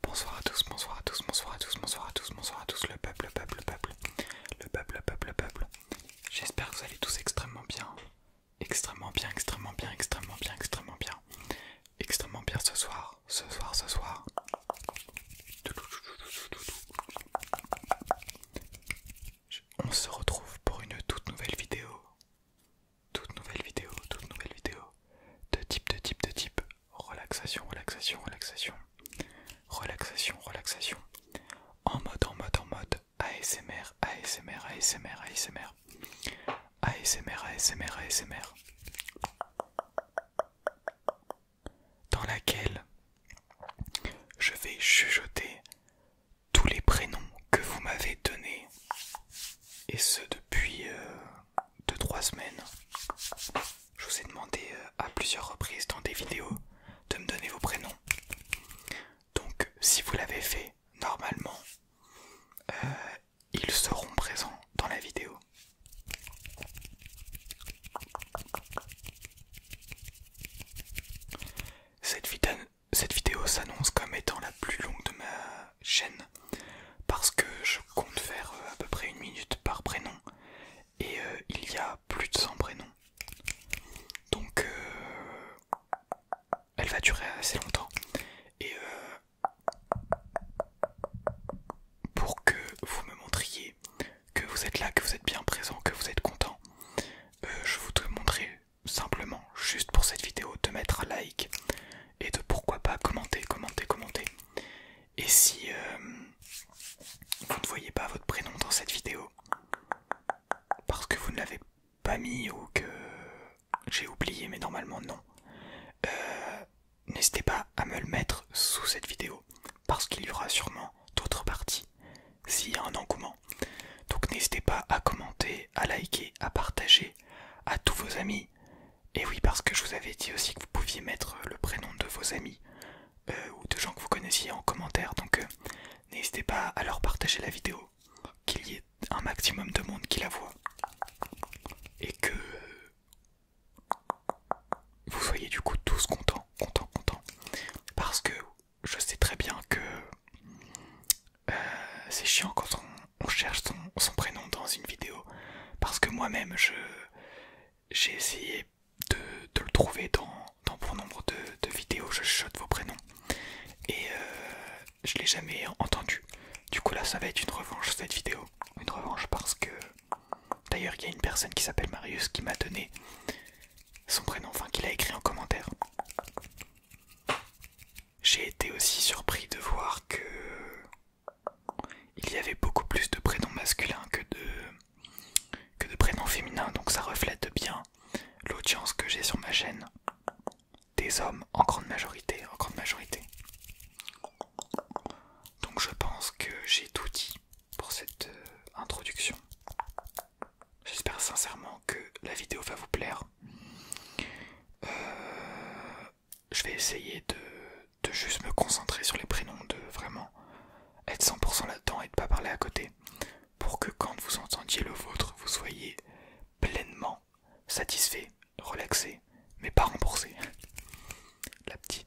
Bonsoir à tous, bonsoir à tous, bonsoir à tous, bonsoir à tous, bonsoir à tous, le peuple, le peuple, le peuple, le peuple, le peuple, le peuple. J'espère que vous allez tous extrêmement bien, extrêmement bien, extrêmement bien, extrêmement bien, extrêmement bien, extrêmement bien ce soir, ce soir, ce soir. On se retrouve pour une toute nouvelle vidéo toute nouvelle vidéo, toute nouvelle vidéo de type, de type, de type relaxation, relaxation, relaxation, relaxation, relaxation en mode, en mode, en mode ASMR, ASMR, ASMR, ASMR, ASMR, ASMR, ASMR, dans laquelle je vais chuchoter tous les prénoms que vous m'avez donnés et ce depuis 2-3 euh, semaines. Je vous ai demandé euh, à plusieurs reprises dans des vidéos de me donner vos prénoms. Donc si vous l'avez fait, normalement, euh, ils seront présents dans la vidéo, cette vidéo s'annonce comme étant la plus longue de ma chaîne parce que je compte faire euh, à peu près une minute par prénom et euh, il y a plus de 100 prénoms donc euh, elle va durer assez longtemps et pour que vous me montriez que vous êtes là, que vous êtes bien présent, que vous êtes content, je vous montrer simplement, juste pour cette vidéo, de mettre un like, et de pourquoi pas commenter, commenter, commenter. Et si euh, vous ne voyez pas votre prénom dans cette vidéo, parce que vous ne l'avez pas mis ou que j'ai oublié, mais normalement non, euh, n'hésitez pas à me le mettre sous cette vidéo, parce qu'il y aura sûrement d'autres parties s'il y a un engouement. Donc n'hésitez pas à commenter, à liker, à partager à tous vos amis et oui, parce que je vous avais dit aussi que vous pouviez mettre euh, le prénom de vos amis euh, ou de gens que vous connaissiez en commentaire. Donc euh, n'hésitez pas à leur partager la vidéo, qu'il y ait un maximum de monde qui la voit. Et que vous soyez du coup tous contents, contents, contents. Parce que je sais très bien que euh, c'est chiant quand on, cherche son, prénom dans une vidéo parce que moi-même je j'ai essayé de, le trouver dans, bon nombre de, vidéos je shot vos prénoms et je euh, je l'ai jamais entendu du coup là ça va être une revanche cette vidéo une revanche parce que d'ailleurs il y a une personne qui s'appelle Marius qui m'a donné son prénom enfin qu'il a écrit en commentaire j'ai été aussi surpris de voir que il y avait beaucoup plus de prénoms masculins que de, que de prénoms féminins, donc ça reflète bien l'audience que j'ai sur ma chaîne. Des hommes en grande majorité, en grande majorité. Donc je pense que j'ai tout dit pour cette euh, introduction. J'espère sincèrement que la vidéo va vous plaire. Euh, je vais essayer de, juste me concentrer sur les prénoms, de vraiment être 100% là-dedans et de pas parler à côté, pour que quand vous entendiez le vôtre, vous soyez pleinement satisfait, relaxé, mais pas remboursé. La petite.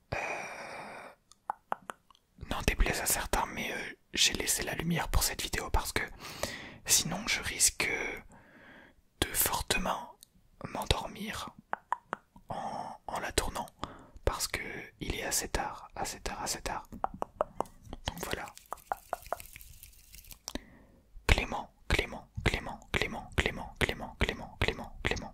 Non, euh, N'en déplaise à certains, mais euh, j'ai laissé la lumière pour cette vidéo parce que sinon je risque de fortement m'endormir en, en la tournant parce que il est assez tard, assez tard, assez tard. Donc voilà. Clément, Clément, Clément, Clément, Clément, Clément, Clément, Clément, Clément,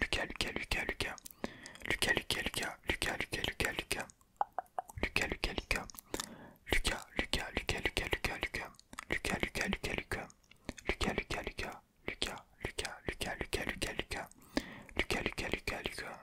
Lucas, Lucas, Lucas, Lucas. Lucas, Lucas, Lucas, Lucas, Lucas, Lucas, Lucas. Lucas, Lucas, Lucas. Lucas, Lucas, Lucas, Lucas, Lucas, Lucas. Lucas, Lucas, Lucas, Lucas. Lucas, Lucas, Lucas. Lucas, Lucas, Lucas, Lucas, Lucas, Lucas.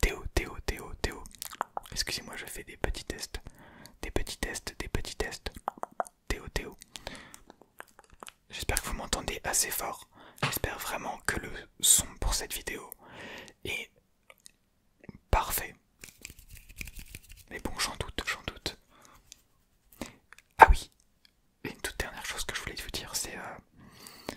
Théo, Théo, Théo, Théo. Excusez-moi, je fais des petits tests. Des petits tests, des petits tests. Théo, Théo. J'espère que vous m'entendez assez fort. J'espère vraiment que le son pour cette vidéo est parfait. Mais bon, j'en doute, j'en doute. Ah oui, une toute dernière chose que je voulais vous dire, c'est euh,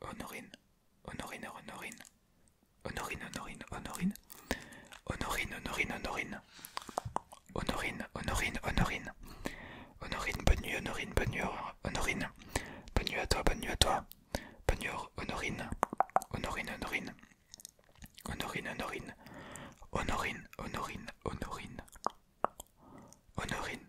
Honorine, Honorine, Honorine, Honorine, Honorine, Honorine, Honorine, Honorine, Honorine, Honorine, Honorine, Honorine, Honorine, bonne nuit, Honorine, bonne nuit, Honorine, bonne nuit à toi, bonne nuit à toi, bonne nuit, Honorine, Honorine, Honorine, Honorine, Honorine, Honorine, Honorine, Honorine, Honorine,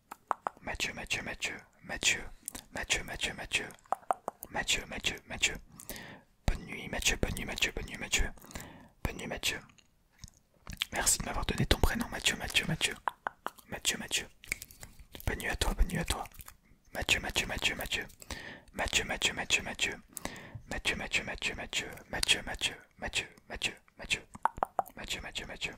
Mathieu, Mathieu, Mathieu, Mathieu, Mathieu, Mathieu, Mathieu, Mathieu, Mathieu, Bonne nuit, Mathieu, bonne nuit, Mathieu, bonne nuit, Mathieu. Bonne nuit, Mathieu. Merci de m'avoir donné ton prénom, Mathieu, Mathieu, Mathieu. Mathieu, Mathieu. à toi, à toi. Mathieu, Mathieu, Mathieu, Mathieu. Mathieu, Mathieu, Mathieu, Mathieu. Mathieu, Mathieu, Mathieu, Mathieu. Mathieu, Mathieu, Mathieu, Mathieu, Mathieu. Mathieu, Mathieu, Mathieu.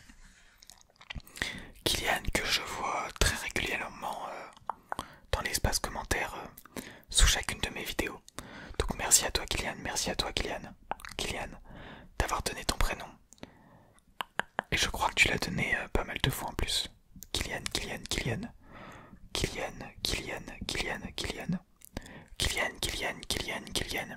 Kylian, que je vois très régulièrement euh, dans l'espace commentaire euh, sous chacune de mes vidéos. Donc merci à toi Kylian, merci à toi Kylian, Kylian, d'avoir donné ton prénom. Et je crois que tu l'as donné euh, pas mal de fois en plus. Kylian, Kylian, Kylian, Kylian, Kylian, Kylian, Kylian, Kylian, Kylian, Kylian, Kylian.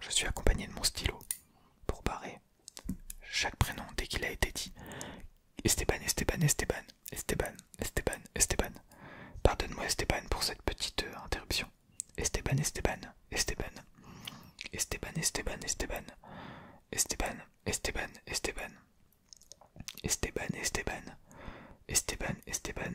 je suis accompagné de mon stylo pour barrer chaque prénom dès qu'il a été dit. Esteban, Esteban, Esteban, Esteban, Esteban, Esteban. Pardonne-moi Esteban pour cette petite euh, interruption. Esteban, Esteban, Esteban. Esteban, Esteban, Esteban. Esteban, Esteban, Esteban. Esteban, Esteban. Esteban, Esteban.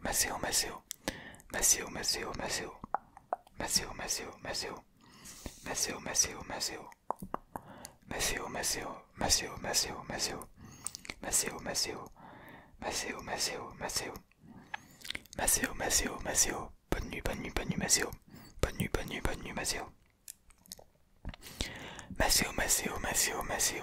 Masseo Maceo, Maceo, Maceo, Maceo, Maceo, Maceo, Maceo, Maceo, Maceo, Maceo, Maceo, Maceo, Maceo, Maceo, bonne nuit, bonne nuit, bonne nuit, bonne nuit, bonne nuit, bonne nuit,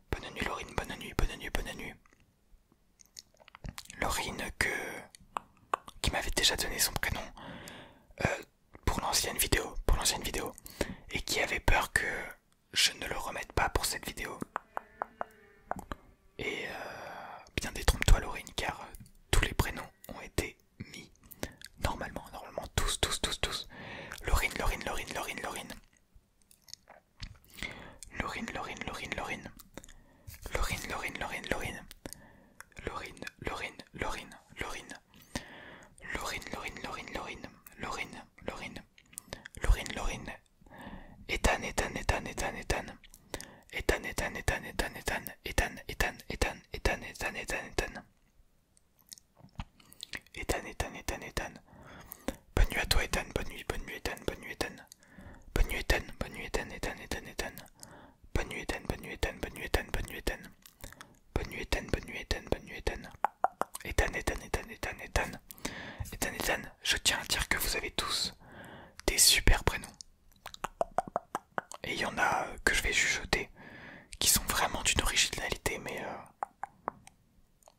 Bonne nuit Laurine, bonne nuit, bonne nuit, bonne nuit. Laurine que... qui m'avait déjà donné son prénom euh, pour l'ancienne vidéo, pour l'ancienne vidéo, et qui avait peur que je ne le remette pas pour cette vidéo. Et euh, bien détrompe-toi Laurine car euh, tous les prénoms ont été mis normalement, normalement tous, tous, tous, tous. Laurine, Laurine, Laurine, Laurine, Laurine. Laurine, Laurine, Laurine, Lorine. Laurine, Laurine, Laurine, Laurine. Lorine, Laurine, Laurine, Lorine. Laurine, Laurine, Laurine, Laurine. Lorine, Laurine. Etan, Etan, Etan, Etan, Etan, Etan, Etan, Etan, Etan, Etan, Etan, Etan Etan, Etan, Ethan, Ethan, Ethan, Ethan. Bonne nuit à toi, Ethan. Bonne nuit, bonne nuit, Ethan. Bonne nuit, Ethan. Bonne nuit, Ethan. Bonne nuit, Ethan, Ethan, Ethan, Ethan. Bonne nuit, Ethan. Bonne nuit, Ethan. Bonne nuit, Ethan. Bonne nuit, Ethan. Bonne nuit, Ethan. Bonne nuit, Ethan. Bonne nuit, Ethan. Ethan, Ethan, Ethan, Ethan, Ethan. Ethan, Ethan. Je tiens à dire que vous avez tous des super prénoms. Et il y en a que je vais chuchoter qui sont vraiment d'une originalité, mais euh,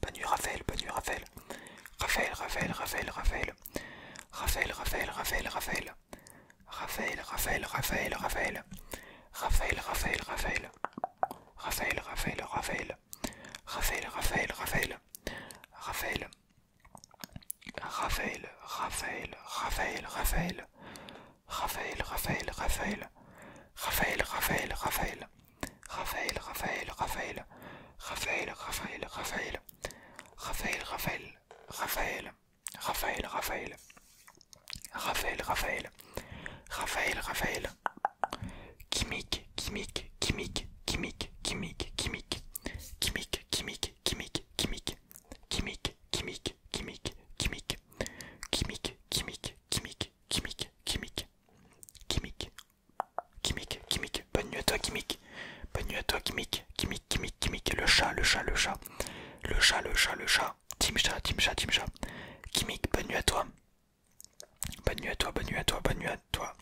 Bonne Raphaël, bonne Raphaël. Raphaël, Raphaël, Raphaël, Raphaël. Raphaël, Raphaël, Raphaël, Raphaël. Raphaël, Raphaël, Raphaël, Raphaël. Raphaël, Raphaël, Raphaël. Raphaël, Raphaël, Raphaël. Raphaël, Raphaël, Raphaël. Raphaël. Raphaël, Raphaël, Raphaël, Raphaël. Raphaël, Raphaël, Raphaël. Raphaël, Raphaël, Raphaël. Raphaël, Raphaël, Raphaël, Raphaël, Raphaël, Raphaël, Raphaël, Raphaël, Raphaël, Raphaël, Raphaël, Raphaël, Raphaël, Raphaël, Raphaël, Raphaël, chimique chimique chimique chimique chimique Raphaël, chimique chimique chimique chimique chimique chimique Kimik, Kimik, bonne nuit à toi Kimik, bonne nuit à toi Kimik, Kimik, Kimik, Kimik, le chat, le chat, le chat, le chat, le chat, le chat, Team chat, Team chat, Kimik, bonne nuit à toi, bonne nuit à toi, bonne nuit à toi, bonne nuit à toi,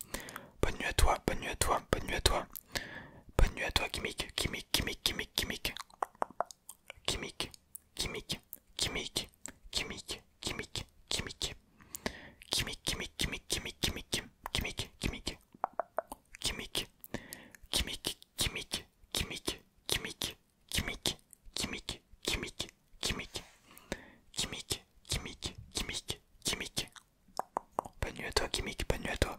bonne nuit à toi, bonne nuit à toi, bonne nuit à toi, bonne nuit à toi Kimik, Kimik, Kimik, Kimik, Kimik, Kimik, Kimik, Kimik, Kimik, Chimique, chimique. Chimique, chimique, chimique, chimique. Chimique, chimique. Chimique, chimique, chimique, chimique, chimique, chimique, chimique, chimique. Chimique, chimique, chimique, chimique. Pas nu à toi, chimique, pas nu à toi.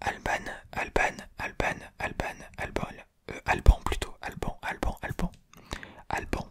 Alban, Alban, Alban, Alban, Alban, Alban... Euh, Alban, plutôt. Alban, Alban, Alban. Alban.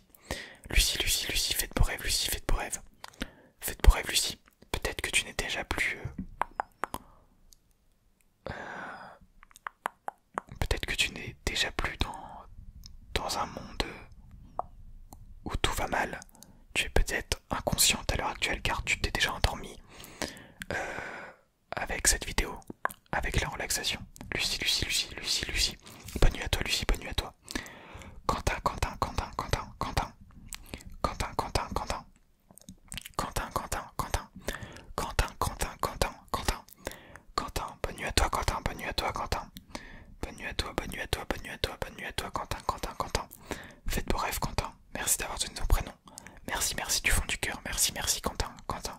Lucie. Lucie, Lucie, faites beaux rêves Lucie, faites vos rêve. Faites beaux rêves, Lucie. Peut-être que tu n'es déjà plus... Euh, euh, peut-être que tu n'es déjà plus dans... un monde euh, où tout va mal. Tu es peut-être inconsciente à l'heure actuelle car tu t'es déjà endormie avec cette vidéo avec la relaxation. Lucie, Lucie, Lucie, Lucie, Lucie. Bonne nuit à toi, Lucie, bonne nuit à toi. Quentin, Quentin, Quentin, Quentin, Quentin. Quentin, Quentin, Quentin. Quentin, Quentin, Quentin. Quentin, Quentin, bonne nuit à toi, Quentin, bonne nuit à toi, Quentin. Bonne nuit à toi, bonne nuit à toi, bonne nuit à toi, bonne nuit à toi, Quentin, Quentin, Quentin. Faites vos rêves Quentin. Merci d'avoir donné ton prénom. Merci, merci du fond du cœur. Merci, merci, Quentin, Quentin.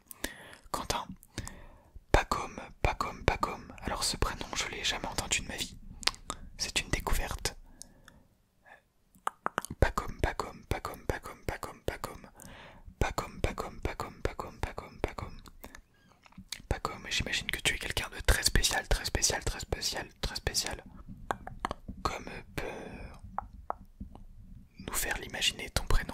comme, Quentin. Pacom, pas comme. Alors ce prénom, je l'ai jamais entendu de ma vie. C'est une découverte. Pacom, Pacom, Pacom, Pacom, Pacom, Pacom. Pacom, Pacom, Pacom, Pacom, Pacom, Pacom. Pacom, j'imagine que tu es quelqu'un de très spécial, très spécial, très spécial, très spécial. Comme peut nous faire l'imaginer ton prénom.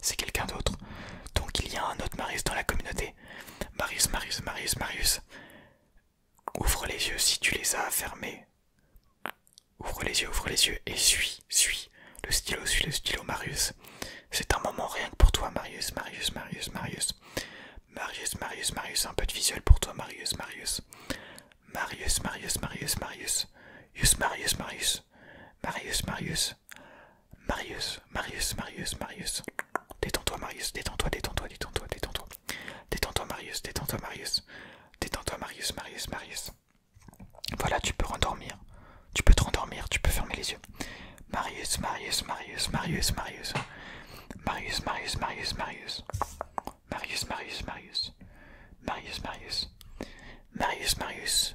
c'est quelqu'un d'autre. Donc il y a un autre Marius dans la communauté. Marius, Marius, Marius, Marius. Ouvre les yeux si tu les as fermés. Ouvre les yeux, ouvre les yeux et suis, suis. Le stylo, suis le stylo, Marius. C'est un moment rien que pour toi, Marius, Marius, Marius, Marius. Marius, Marius, Marius, un peu de visuel pour toi, Marius, Marius. Marius, Marius, Marius, Marius. Marius, Marius, Marius. Marius, Marius. Marius. Marius, Marius, Marius, Détends-toi, Marius, détends-toi, détends-toi, détends-toi, détends-toi. Détends-toi, Marius, détends-toi, Marius. Détends-toi, Marius, Marius, Marius. Voilà, tu peux rendormir. Tu peux te rendormir, tu peux fermer les yeux. Marius, Marius, Marius, Marius, Marius. Marius, Marius, Marius, Marius. Marius, Marius, Marius. Marius, Marius. Marius, Marius.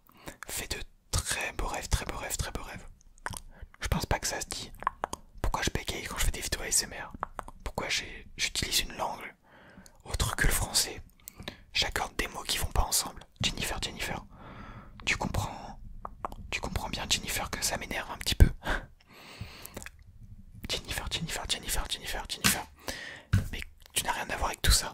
fais de très beaux rêves, très beaux rêves, très beaux rêves. Je pense pas que ça se dit. Pourquoi je bégaye quand je fais des vidéos ASMR Pourquoi j'utilise une langue autre que le français J'accorde des mots qui vont pas ensemble. Jennifer, Jennifer, tu comprends Tu comprends bien, Jennifer, que ça m'énerve un petit peu. Jennifer, Jennifer, Jennifer, Jennifer, Jennifer. Mais tu n'as rien à voir avec tout ça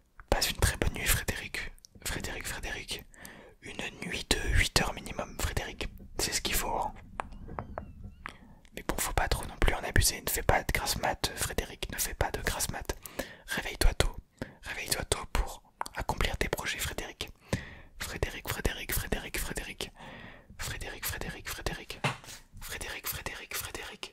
Passe une très bonne nuit, Frédéric. Frédéric, Frédéric. Une nuit de 8 heures minimum, Frédéric. C'est ce qu'il faut. Hein. Mais bon, faut pas trop non plus en abuser. Ne fais pas de grasse mat, Frédéric. Ne fais pas de grasse mat. Réveille-toi tôt. Réveille-toi tôt pour accomplir tes projets, Frédéric. Frédéric, Frédéric, Frédéric, Frédéric. Frédéric, Frédéric, Frédéric. Frédéric, Frédéric, Frédéric.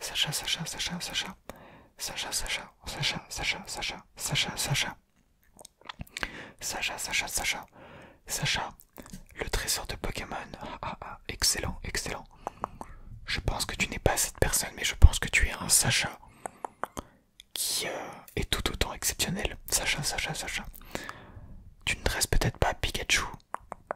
Sacha, Sacha, Sacha, Sacha, Sacha, Sacha, Sacha, Sacha, Sacha, Sacha, Sacha, Sacha, Sacha, Sacha, Sacha, le trésor de Pokémon. Ah ah, ah excellent, excellent. Je pense que tu n'es pas cette personne, mais je pense que tu es un Sacha qui euh, est tout autant exceptionnel. Sacha, Sacha, Sacha. Tu ne dresses peut-être pas Pikachu,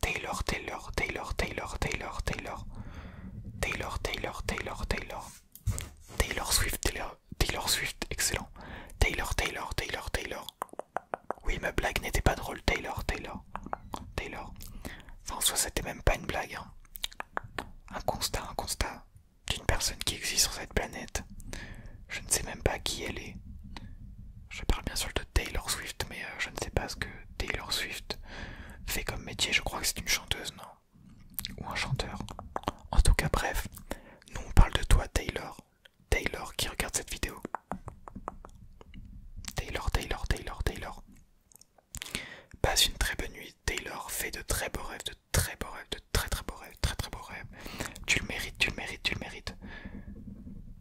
Taylor, Taylor, Taylor, Taylor, Taylor, Taylor, Taylor, Taylor, Taylor, Taylor, Taylor Swift, Taylor, Taylor Swift, excellent. Taylor, Taylor, Taylor, Taylor. Oui, ma blague n'était pas drôle. Taylor, Taylor, Taylor. François, c'était même pas une blague. Hein. Un constat, un constat d'une personne qui existe sur cette planète. Je ne sais même pas qui elle est. Je parle bien sûr de Taylor Swift, mais euh, je ne sais pas ce que Taylor Swift fait comme métier. Je crois que c'est une chanteuse, non Ou un chanteur. En tout cas, bref, nous on parle de toi, Taylor. Taylor qui regarde cette vidéo. Taylor, Taylor, Taylor, Taylor. Passe une très bonne nuit, Taylor. Fais de très beaux rêves, de très beaux rêves, de très très beaux rêves, très très beaux rêves. Tu le mérites, tu le mérites, tu le mérites.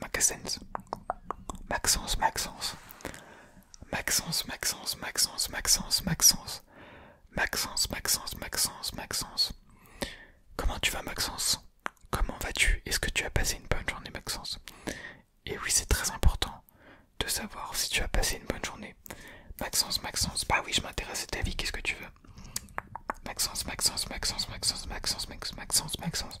Maxence, Maxence, Maxence, Maxence, Maxence, Maxence, Maxence, Maxence, Maxence, Maxence, Maxence, Comment tu vas, Maxence Comment vas-tu Est-ce que tu as passé une bonne journée, Maxence Et oui, c'est très important de savoir si tu as passé une bonne journée. Maxence, Maxence, bah oui, je m'intéresse à ta vie, qu'est-ce que tu veux Maxence, Maxence, Maxence, Maxence, Maxence, Maxence, Maxence, Maxence.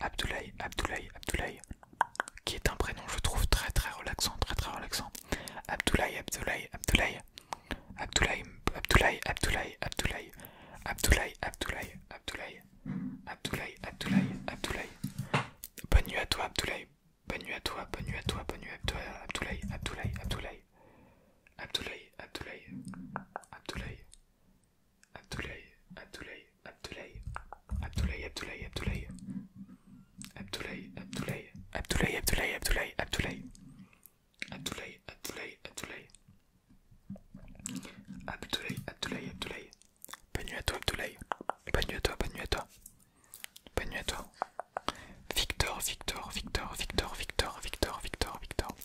Abdoulaye, Abdoulaye, Abdoulaye, qui est un prénom je trouve très très relaxant, très très relaxant. Abdoulaye, Abdoulaye, Abdoulaye, Abdoulaye, Abdoulaye, Abdoulaye, Abdoulaye, Abdoulaye, Abdoulaye, Abdoulaye, Abdoulaye, Abdoulaye, Abdoulaye. Bonne nuit à toi Abdoulaye, bonne nuit à toi, bonne nuit à toi, bonne nuit à toi, Abdoulaye, Abdoulaye, Abdoulaye, Abdoulaye, Abdoulaye, Abdoulaye, Abdoulaye, Abdoulaye, Abdoulaye, Abdoulaye, Abdoulaye, Abdoulaye, Abdoulaye, Abdoulaye, Abdoulaye, Abdoulaye, Abdoulaye, Abdoulaye, Abdoulaye, Abdoulaye, Abdoulaye, Abdoulaye, Abdoulaye, Abdoulaye. Bonne nuit à toi, Abdoulaye. Bonne nuit à toi, bonne nuit à toi. Abdoulaye, Abdoulaye, à toi. Victor, Victor, Victor, Victor, Victor, Victor, Victor, Victor.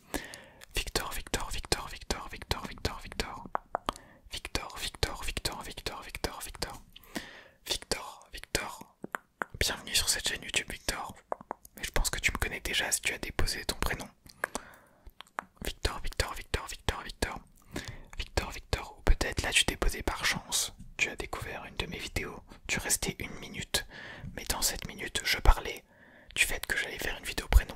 Victor, Victor, Victor, Victor, Victor, Victor, Victor. Victor, Victor, Victor, Victor, Victor, Victor. Victor, Victor. Bienvenue sur cette chaîne YouTube, Victor. je pense que tu me connais déjà si tu as déposé ton prénom. Victor, Victor, Victor, Victor, Victor. Victor, Victor, ou peut-être là tu déposé par chance. Tu as découvert une de mes vidéos. Tu restais une minute. Mais dans cette minute, je parlais du fait que j'allais faire une vidéo prénom.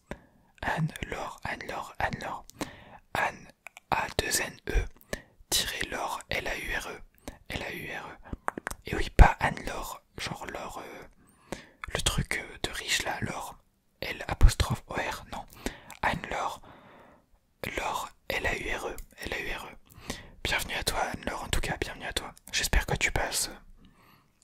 Anne-Laure, Anne-Laure, Anne-Laure, Anne, A-2-N-E, tirez Laure, L-A-U-R-E, L-A-U-R-E. Et oui, pas Anne-Laure, genre Laure, euh, le truc euh, de riche là, Laure, L apostrophe O-R, non, Anne-Laure, Laure, L-A-U-R-E, L-A-U-R-E. Bienvenue à toi, Anne-Laure, en tout cas, bienvenue à toi. J'espère que tu passes euh,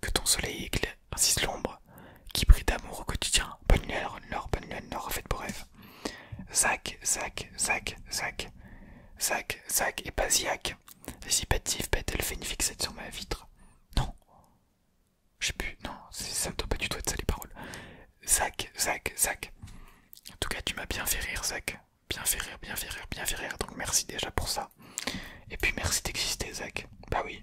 que ton soleil éclaire ainsi l'ombre qui brille d'amour au quotidien. Bonne nuit à Nord, bonne nuit Nord, faites pour rêve. Zac, Zac, Zac, Zac, Zac, Zac et pas si Dissipatif, bête, elle fait une fixette sur ma vitre. Non, je sais plus, non, ça ne doit pas du tout être ça les paroles. Zac, Zac, Zac. En tout cas, tu m'as bien fait rire, Zac. Bien fait rire, bien fait rire, bien fait rire. Donc merci déjà pour ça. Et puis merci d'exister, Zach. Bah oui,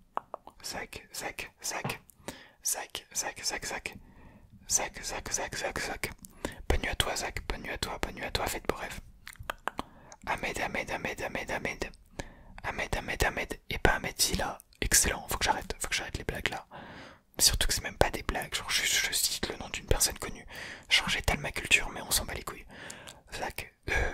Zach, Zach, Zach, Zach, zac, zac, zac. Zach, zac, zac, zac, Zach. Bonne nuit à toi, Zach. Bonne nuit à toi, bonne nuit à toi. Faites beau rêve. Ahmed, Ahmed, Ahmed, Ahmed, Ahmed. Ahmed, Ahmed, Ahmed. Et pas Ahmed si là. Excellent. Faut que j'arrête. Faut que j'arrête les blagues là. Surtout que c'est même pas des blagues. Genre, je, cite le nom d'une personne connue. Genre, tellement ma culture, mais on s'en bat les couilles. Zach. euh,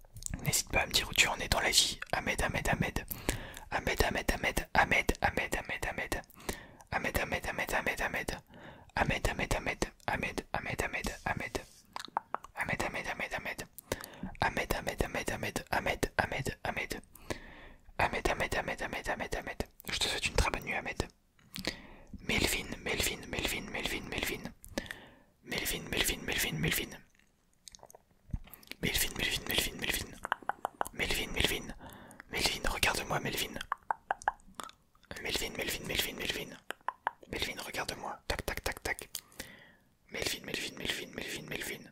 N'hésite pas à me dire où tu en es dans la vie. Ahmed, Ahmed, Ahmed. Ahmed, Ahmed, Ahmed, Ahmed, Ahmed, Ahmed, Ahmed. Ahmed, Ahmed, Ahmed, Ahmed, Ahmed. Ahmed, Ahmed, Ahmed, Ahmed, Ahmed, Ahmed, Ahmed. Ahmed, Ahmed, Ahmed, Ahmed. Ahmed, Ahmed, Ahmed, Ahmed, Ahmed, Ahmed, Ahmed. Ahmed, Ahmed, Ahmed, Ahmed, Ahmed, Ahmed. Je te souhaite une très bonne nuit, Ahmed. Melvin, Melvin, Melvin, Melvin, Melvin. Melvin, Melvin, Melvin, Melvin. Melvin, Melvin, Melvin, Melvin. Melvin, Melvin. Melvin, regarde-moi, Melvin. Melvin, Melvin, Melvin, Melvin. regarde-moi. Tac, tac, tac, tac. Melvin, Melvin, Melvin, Melvin, Melvin.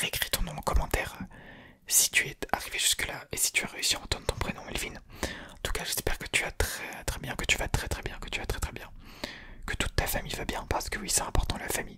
Récris ton nom en commentaire si tu es arrivé jusque-là et si tu as réussi à entendre ton prénom, Melvin. En tout cas, j'espère que tu as très très bien, que tu vas très très bien, que tu vas très très bien. Que toute ta famille va bien, parce que oui, c'est important la famille.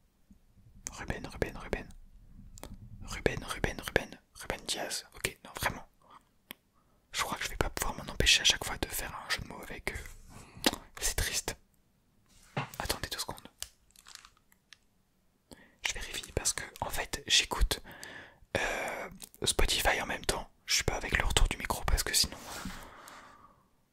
Ruben, Ruben, Ruben. Ruben, Ruben, Ruben. Ruben Diaz. Ok, non, vraiment. Je crois que je vais pas pouvoir m'en empêcher à chaque fois de faire un jeu de mots avec eux. C'est triste. Attendez deux secondes. Je vérifie parce que, en fait, j'écoute euh, Spotify en même temps. Je suis pas avec le retour du micro parce que sinon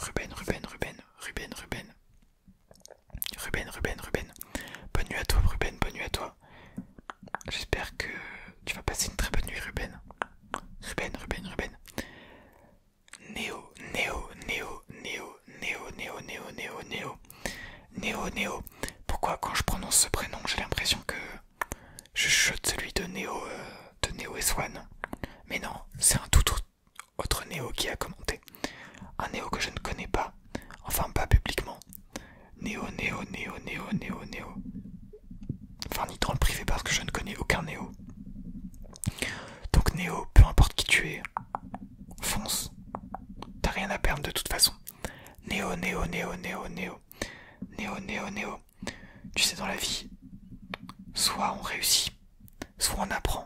Ruben, Ruben, Ruben, Ruben, Ruben. Ruben, Ruben, Ruben. Bonne nuit à toi, Ruben, bonne nuit à toi. J'espère que tu vas passer une très bonne nuit, Ruben. Ruben, Ruben, Ruben. Néo, Néo, Néo, Néo, Néo, Néo, Néo, Néo, Néo. Néo, Neo. Pourquoi quand je prononce ce prénom, j'ai l'impression que je chote celui de Néo, euh, de Neo et Swan Mais non, c'est un tout, tout, autre, Néo qui a commenté. Un Néo que je ne connais pas, enfin pas publiquement. Néo, Néo, Néo, Néo, Néo, Néo. Enfin, ni dans le privé parce que je ne connais aucun Néo. Donc, Néo, peu importe qui tu es, fonce. T'as rien à perdre de toute façon. Néo, Néo, Néo, Néo, Néo. Néo, Néo, Néo. Tu sais, dans la vie, soit on réussit, soit on apprend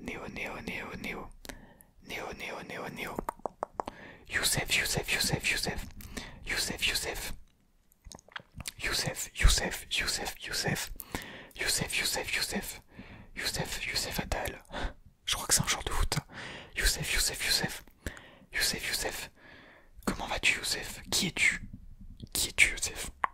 Néo, Néo, Néo, Néo. Néo, Néo, Néo, Néo. Youssef, Youssef, Youssef, Youssef. Youssef, Youssef. Youssef, Youssef, Youssef, Youssef. Youssef, Youssef, Youssef. Youssef, Youssef Je crois que c'est un genre de Youssef, Youssef, Youssef. Youssef, Youssef. Comment vas-tu, Youssef Qui es-tu Qui es-tu, Youssef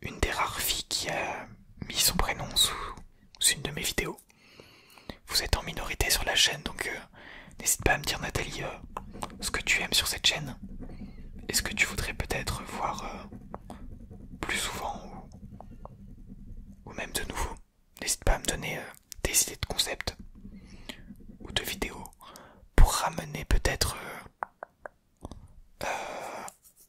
une des rares filles qui a mis son prénom sous, une de mes vidéos. Vous êtes en minorité sur la chaîne, donc euh, n'hésite pas à me dire Nathalie euh, ce que tu aimes sur cette chaîne. Est-ce que tu voudrais peut-être voir euh, plus souvent ou, même de nouveau N'hésite pas à me donner des idées de concepts ou de vidéos pour ramener peut-être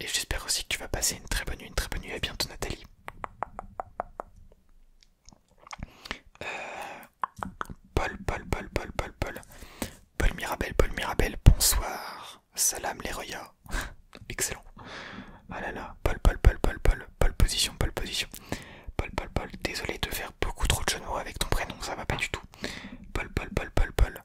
Et j'espère aussi que tu vas passer une très bonne nuit, une très bonne nuit. À bientôt, Nathalie. Paul, Paul, Paul, Paul, Paul, Paul. Paul Mirabel, Paul Mirabel, bonsoir. Salam les Excellent. Ah là là, Paul, Paul, Paul, Paul, Paul, Paul, position, Paul, position. Paul, Paul, Paul, désolé de faire beaucoup trop de genoux avec ton prénom, ça va pas du tout. Paul, Paul, Paul, Paul, Paul.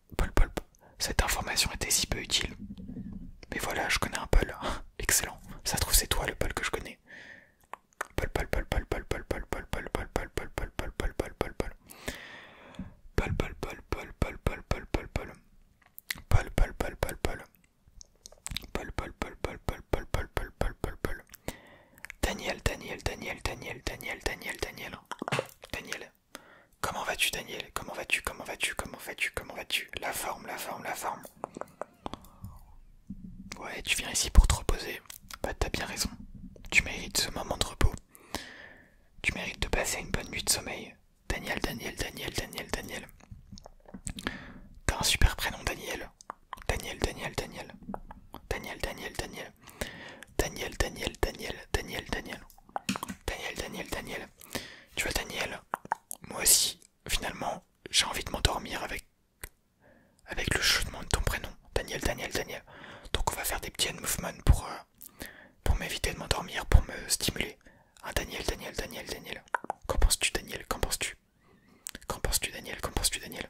Cette information était si peu utile. Mais voilà, je connais un Paul. Excellent. Ça trouve, c'est toi le pal que je connais. Daniel, Daniel, Daniel, Daniel, Daniel, Daniel, Daniel, Daniel, Comment vas-tu, Daniel Comment vas-tu Comment vas-tu Comment vas-tu Comment vas-tu La forme, la forme, la forme. Ouais, tu viens ici pour te reposer. Bah, t'as bien raison. Tu mérites ce moment de repos. Tu mérites de passer une bonne nuit de sommeil. Daniel, Daniel, Daniel, Daniel, Daniel. T'as un super prénom, Daniel. Daniel, Daniel, Daniel. Daniel, Daniel, Daniel. Daniel. Daniel, Daniel, Daniel, Daniel, Daniel. Daniel, Daniel, Tu vois, Daniel, moi aussi, finalement, j'ai envie de m'endormir avec, avec le chutement de ton prénom. Daniel, Daniel, Daniel. Donc, on va faire des petits movements pour, euh, pour m'éviter de m'endormir, pour me stimuler. Hein, Daniel, Daniel, Daniel, Daniel. Qu'en penses-tu, Daniel Qu'en penses-tu Qu'en penses-tu, Daniel Qu'en penses-tu, Daniel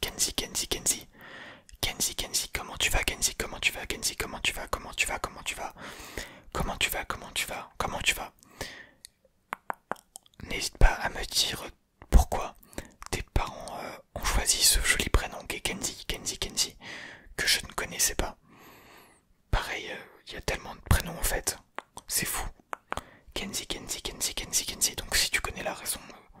Kenzie, Kenzie, Kenzie. Kenzie, Kenzie, comment tu vas Kenzie, comment tu vas Kenzie, comment tu vas Comment tu vas Comment tu vas Comment tu vas Comment tu vas Comment tu vas N'hésite pas à me dire pourquoi tes parents euh, ont choisi ce joli prénom qui est Kenzie, Kenzie, Kenzie, que je ne connaissais pas. Pareil, euh, il y a tellement de prénoms en fait, c'est fou. Kenzie, Kenzie, Kenzie, Kenzie, Kenzie. Donc si tu connais la raison, euh,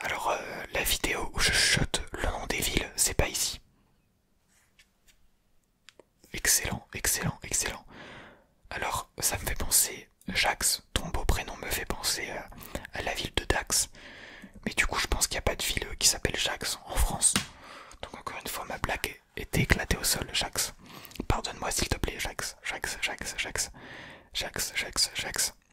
Alors euh, la vidéo où je chuchote le nom des villes, c'est pas ici. Excellent, excellent, excellent. Alors ça me fait penser, Jax, ton beau prénom me fait penser euh, à, la ville de Dax. Mais du coup je pense qu'il n'y a pas de ville qui s'appelle Jax en France. Donc encore une fois ma blague était éclatée au sol, Jax. Pardonne-moi s'il te plaît, Jax, Jax, Jax, Jax, Jax, Jax, Jax.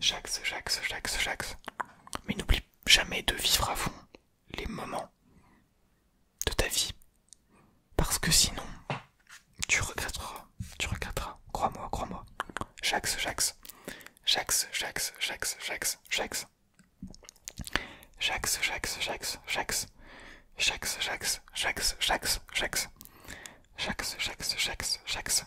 J'axe, j'axe, j'axe, j'axe. Mais n'oublie jamais de vivre à fond les moments de ta vie. Parce que sinon, tu regretteras. Tu regretteras. Crois-moi, crois-moi. J'axe, j'axe. J'axe, j'axe, j'axe, j'axe, j'axe. J'axe, j'axe, j'axe, j'axe. J'axe, j'axe, j'axe, j'axe, j'axe. J'axe, j'axe, j'axe, j'axe.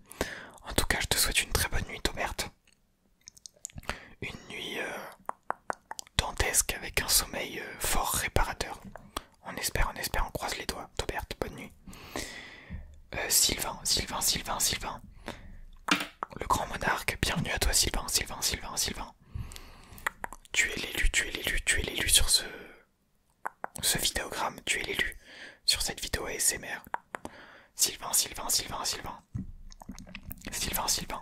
En tout cas, je te souhaite une très bonne nuit, Toberte. Une nuit euh, dantesque avec un sommeil euh, fort réparateur. On espère, on espère, on croise les doigts. Toberte, bonne nuit. Euh, Sylvain, Sylvain, Sylvain, Sylvain. Le grand monarque, bienvenue à toi, Sylvain, Sylvain, Sylvain, Sylvain. Tu es l'élu, tu es l'élu, tu es l'élu sur ce, ce vidéogramme, tu es l'élu sur cette vidéo ASMR. Sylvain, Sylvain, Sylvain, Sylvain. Sylvain, Sylvain.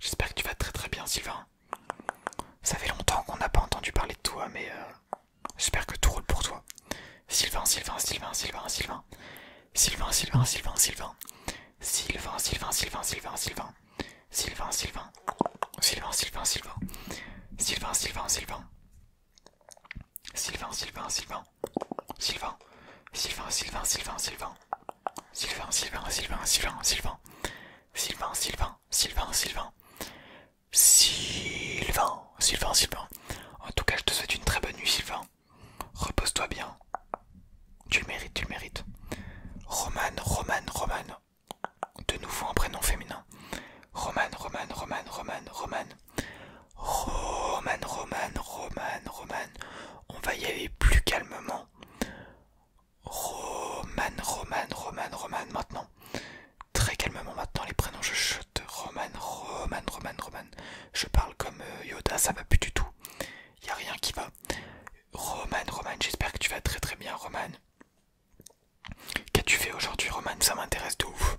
J'espère que tu vas très très bien, Sylvain. Ça fait longtemps qu'on n'a pas entendu parler de toi, mais j'espère que tout roule pour toi. Sylvain, Sylvain, Sylvain, Sylvain, Sylvain. Sylvain, Sylvain, Sylvain, Sylvain. Sylvain, Sylvain, Sylvain, Sylvain, Sylvain. Sylvain, Sylvain. Sylvain, Sylvain, Sylvain. Sylvain, Sylvain, Sylvain. Sylvain, Sylvain, Sylvain. Sylvain, Sylvain, Sylvain, Sylvain, Sylvain, Sylvain, Sylvain, Sylvain, Sylvain, Sylvain, Sylvain, Sylvain, Sylvain, Sylvain, Sylvain, Sylvain, Sylvain. En tout cas, je te souhaite une très bonne nuit, Sylvain. Repose-toi bien. Tu le mérites, tu le mérites. Romane, Romane, Romane. De nouveau un prénom féminin. Romane, Romane, Romane, Romane, Romane. Roman, Roman, Roman, Roman. On va y aller plus calmement. Roman, Roman, Roman, Roman maintenant. Très calmement maintenant les prénoms je chute. Roman, Roman, Roman, Roman. Je parle comme euh, Yoda, ça va plus du tout. Y a rien qui va. Roman, Roman, j'espère que tu vas très très bien Roman. Qu'as-tu fait aujourd'hui Roman Ça m'intéresse de ouf.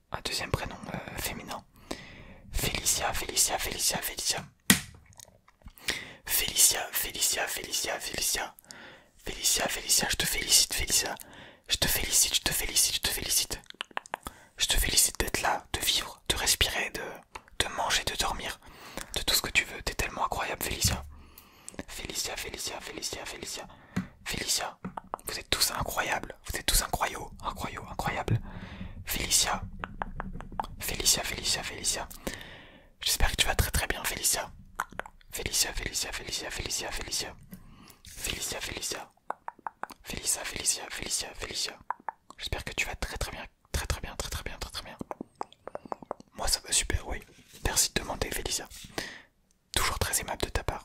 un deuxième prénom euh, féminin. Félicia, Félicia, Félicia, Félicia. Félicia, Félicia, Félicia, Félicia. Félicia, Félicia, je te félicite, Félicia. Je te félicite, je te félicite, je te félicite. Je te félicite d'être là, de vivre, de respirer, de, de manger, de dormir, de tout ce que tu veux. T'es tellement incroyable, Félicia. Félicia, Félicia, Félicia, Félicia. Félicia, vous êtes tous incroyables. Vous êtes tous incroyaux. Incroyaux, incroyables. Félicia. Félicia, Félicia, Félicia. J'espère que tu vas très très bien, Félicia. Félicia, Félicia, Félicia, Félicia, Félicia. Félicia, Félicia. Félicia, Félicia, Felicia. Félicia. J'espère que tu vas très très bien, très très bien, très très bien, très très bien. Moi ça va super, oui. Merci de demander, Félicia. Toujours très aimable de ta part.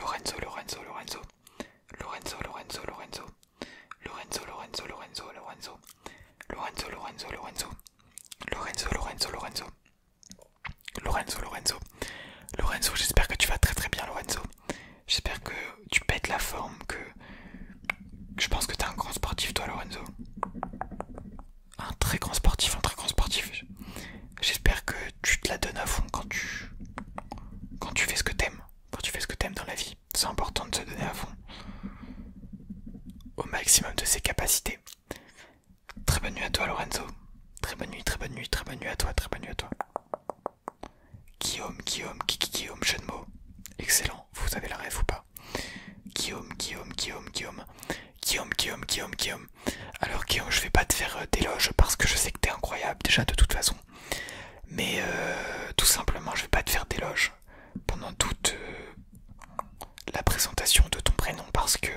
Lorenzo, Lorenzo, Lorenzo, Lorenzo, Lorenzo, Lorenzo, Lorenzo, Lorenzo, Lorenzo, Lorenzo, Lorenzo, Lorenzo, Lorenzo, Lorenzo, Lorenzo, Lorenzo, Lorenzo, Lorenzo, Lorenzo, j'espère que tu vas très très bien, Lorenzo. J'espère que tu pètes la forme, que je pense que t'es un grand sportif, toi, Lorenzo. Un très grand sportif, un très grand sportif. J'espère que tu te la donnes à fond quand tu, quand tu fais ce que t'aimes. Quand tu fais ce que t'aimes dans la vie, c'est important de se donner à fond au maximum de ses capacités. Très bonne nuit à toi Lorenzo. Très bonne nuit, très bonne nuit, très bonne nuit à toi, très bonne nuit à toi. Guillaume, Guillaume, qui Guillaume, jeune mot. Excellent, vous avez la rêve ou pas Guillaume, Guillaume, Guillaume, Guillaume. Guillaume, Guillaume, Guillaume, Guillaume alors Guillaume je vais pas te faire euh, d'éloge parce que je sais que t'es incroyable déjà de toute façon mais euh, tout simplement je vais pas te faire d'éloge pendant toute euh, la présentation de ton prénom parce que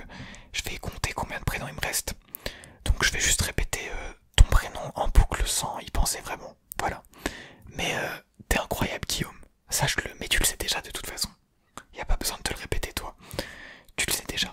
je vais compter combien de prénoms il me reste donc je vais juste répéter ton prénom en boucle sans y penser vraiment voilà mais tu t'es incroyable Guillaume sache-le mais tu le sais déjà de toute façon y a pas besoin de te le répéter toi tu le sais déjà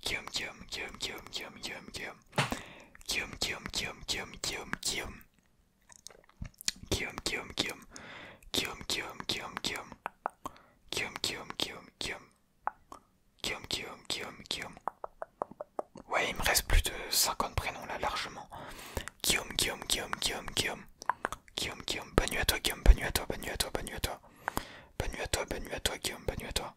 Guillaume, Guillaume, kium, Guillaume, Ouais, il me reste plus de 50 prénoms là, largement. Guillaume, Guillaume, Guillaume, Guillaume, Guillaume, Guillaume, à toi, Guillaume. Bonne à toi, bonne à toi, bonne à toi. Bonne à toi, à toi, à toi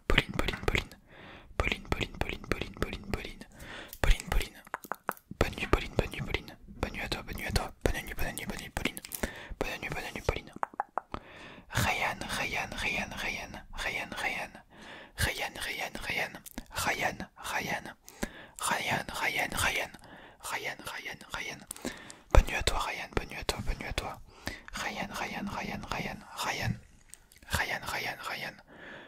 Pauline, Pauline, Pauline. Pauline, Pauline, Pauline, Pauline, Pauline, Pauline. Bonne nuit, Pauline, bonne nuit, à toi, bonne nuit à toi. Bonne nuit, bonne nuit, Pauline. Bonne nuit, bonne nuit, Pauline. Ryan, Ryan, Ryan, Ryan, Ryan, Ryan. Ryan, Ryan, Ryan. Ryan, Ryan. Ryan, Bonne à toi, Ryan, Ryan, Ryan, Ryan, Ryan. Ryan, Ryan, Ryan.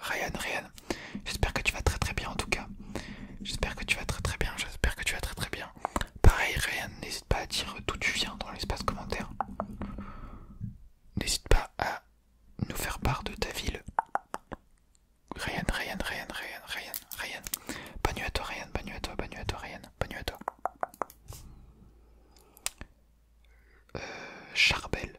Ryan, Ryan. J'espère que tu vas très très bien en tout cas. J'espère que tu vas très très bien. J'espère que tu vas très très bien. Pareil, Ryan, n'hésite pas à dire d'où tu viens dans l'espace commentaire. N'hésite pas à nous faire part de ta ville. Ryan, Ryan, Ryan, Ryan, Ryan, Ryan. Bonne nuit à toi, Ryan. Bonne nuit à toi, bonne nuit à toi, Ryan. Bonne nuit à toi. Euh, Charbel.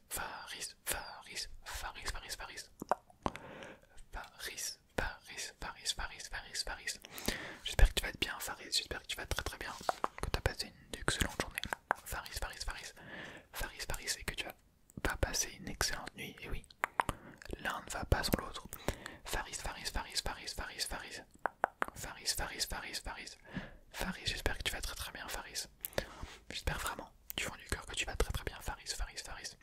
Faris, Faris, Faris, Faris, Faris. Faris, Faris, Faris, Faris, Faris, Faris. J'espère que tu vas être bien, Faris. J'espère que tu vas très très bien. Que tu as passé une excellente journée. Faris, Faris, Faris. Faris, Faris, et que tu vas passé une excellente nuit. Et oui, l'un ne va pas sans l'autre. Faris, Faris, Faris, Faris, Faris, Faris. Faris, Faris, Faris, Faris. Faris, j'espère que tu vas très très bien, Faris. J'espère vraiment du fond du cœur que tu vas très très bien, Faris, Faris, Faris.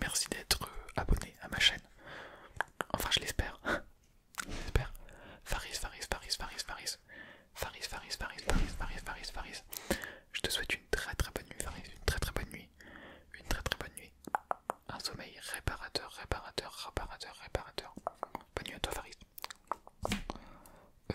Merci d'être euh, abonné à ma chaîne. Enfin, je l'espère. J'espère. Faris, Faris, Faris, Faris, Faris. Faris, Faris, Faris, Faris, Faris, Faris, Faris. Je te souhaite une très très bonne nuit, Faris, une très très bonne nuit. Une très très bonne nuit. Un sommeil réparateur, réparateur, réparateur, réparateur. Bonne nuit à toi, Faris. Euh,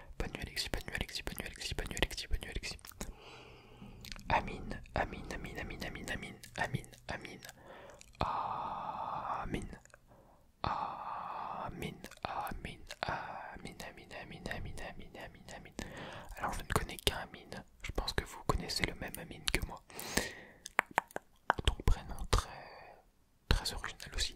Bonne nuit Alexis, bonne nuit Alexis, bonne nuit Alexis, bonne nuit Alexis, Amine, Amine, Amine, Amine, Amine, Amine, Amine, Amine. Amine. Amine, Amine, Amine, Amine, Amine, Amine, Amine, Alors je ne connais qu'un Amine. Je pense que vous connaissez le même Amine que moi. Autre prénom très, très original aussi.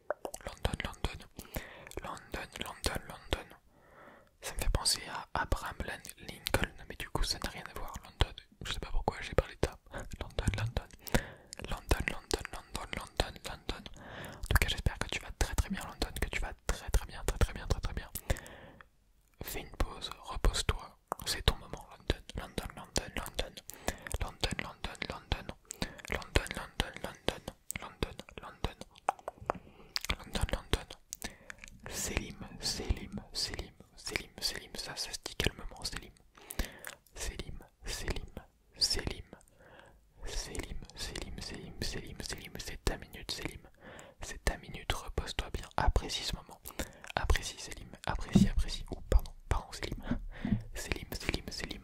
London, London, London, London, London. Ça me fait penser à Abraham Lincoln, mais du coup ça n'a rien à voir. London, je sais pas pourquoi j'ai parlé de ça. London, London, London, London, London, London, London. En tout cas, j'espère que tu vas très très bien, London, que tu vas très très bien, très très bien, très très bien. Fais une pause, repose-toi. C'est ton moment, London, London, London, London, London, London, London, London, London, London, London, London, London, London. Selim, Selim, Selim, Selim, Selim, ça, se dit calmement, Selim. Selim, Selim, Selim, Selim, Selim, Selim, Selim, c'est ta minute, Selim. C'est ta minute, repose-toi bien, apprécie ce moment. Apprécie, Selim, apprécie, apprécie. pardon, pardon, Selim. Selim, Selim, Selim.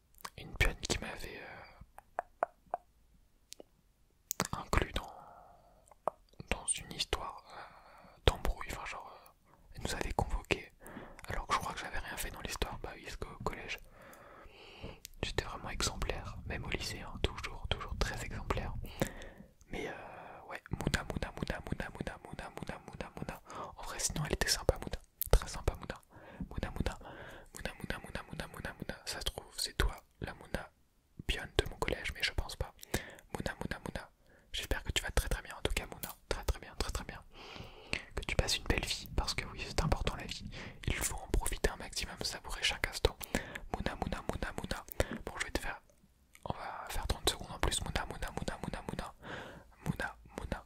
une pionne qui m'avait euh, inclus dans, dans une histoire euh, d'embrouille, enfin genre euh, elle nous avait convoqués alors que je crois que j'avais rien fait dans l'histoire, bah oui, collège j'étais vraiment exemplaire, même au lycée, hein, toujours, toujours très exemplaire. Mais ouais, Mouna, Mouna, Mouna, Mouna, Mouna, Mouna, Mouna, Mouna, Mouna. En vrai, sinon elle était sympa, Très sympa Mouna. Mouna Mouna. Mouna Mouna Mouna Mouna Mouna Mouna. Ça se trouve, c'est toi la Mouna pionne de mon collège, mais je pense pas. Mouna Mouna Mouna. J'espère que tu vas très très bien en tout cas Mouna. Très très bien, très très bien. Que tu passes une belle vie, parce que oui, c'est important la vie. Il faut en profiter un maximum, savourer chaque instant. Mouna Mouna Mouna Mouna. Bon, je vais te faire... On va faire 30 secondes en plus. Mouna Mouna Mouna Mouna Mouna. Mouna Mouna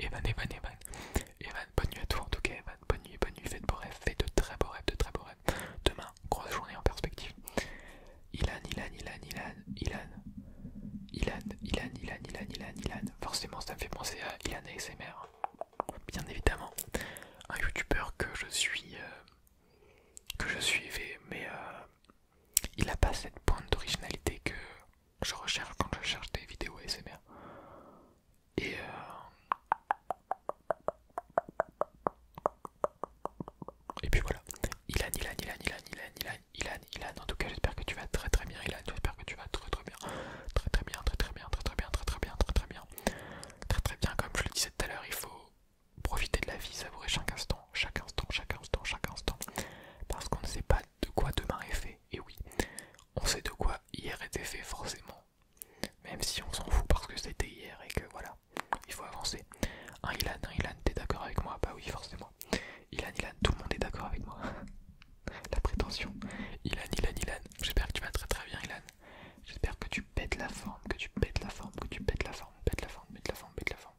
Evan, Evan, Evan. Evan, bonne nuit à toi en tout cas, Evan. Bonne nuit, bonne nuit. Faites de beaux rêves, faites de très beaux rêves, de très beaux rêves. Demain, grosse journée en perspective. Ilan, Ilan, Ilan, Ilan, Ilan. Ilan, Ilan, Ilan, Ilan, Ilan, Ilan. Forcément, ça me fait penser à Ilan ASMR. Bien évidemment, un youtubeur que je suis. Euh, que je suivais, mais euh, il n'a pas cette pointe d'originalité que je recherche quand je cherche des vidéos ASMR. Et euh, Et puis voilà, Ilan, Ilan, Ilan, Ilan, Ilan, Ilan, Ilan, Ilan, en tout cas j'espère que tu vas très très bien Ilan, j'espère que tu vas très très bien, très très bien, très très bien, très très bien, très très bien, très très bien, très très bien, comme je le disais tout à l'heure, il faut profiter de la vie, savourer chaque instant, chaque instant, chaque instant, chaque instant, parce qu'on ne sait pas de quoi demain est fait, et oui, on sait de quoi hier était fait forcément, même si on s'en fout parce que c'était hier et que voilà, il faut avancer. Hein, Ilan, hein, Ilan, t'es d'accord avec moi Bah oui, forcément. Ilan, Ilan, tout le monde est d'accord avec moi. la prétention. Ilan, Ilan, Ilan, j'espère que tu vas très très bien Ilan. J'espère que tu pètes la forme, que tu pètes la forme, que tu pètes la forme, pètes la forme, pètes la forme, pètes la forme.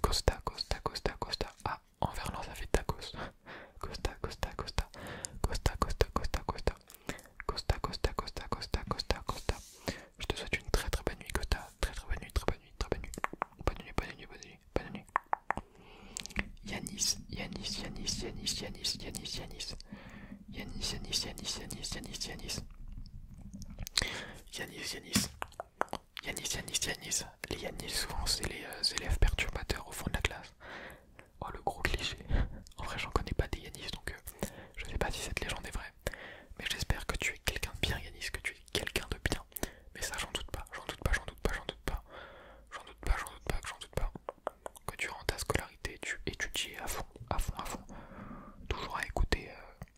Costa, Costa, Costa, Costa. Ah, envers verlan ça fait tacos. Costa, Costa, Costa. Costa, Costa, Costa, Costa. Costa, Costa, Costa, Costa, Costa, Je te souhaite une très très bonne nuit, Costa. Très très bonne nuit, très bonne nuit, très bonne nuit. Bonne nuit, bonne nuit, bonne nuit, bonne nuit. Yanis, Yanis, Yanis, Yanis, Yanis, Yanis, Yanis. Yanis, Yanis, Yanis, Yanis, Yanis, Yanis. Yanis, Yanis. Yanis, Yanis, Yanis. Les Yanis, souvent, c'est les élèves euh, perturbateurs au fond de la classe. Oh, le gros cliché. En vrai, j'en connais pas des Yanis, donc je euh, je sais pas si cette légende est vraie. Mais j'espère que tu es quelqu'un de bien, Yanis, que tu es quelqu'un de bien. Mais ça, j'en doute pas, j'en doute pas, j'en doute pas, j'en doute pas. J'en doute pas, j'en doute pas, j'en doute pas. Que tu rends ta scolarité, tu étudies à fond, à fond, à fond. Toujours à écouter euh,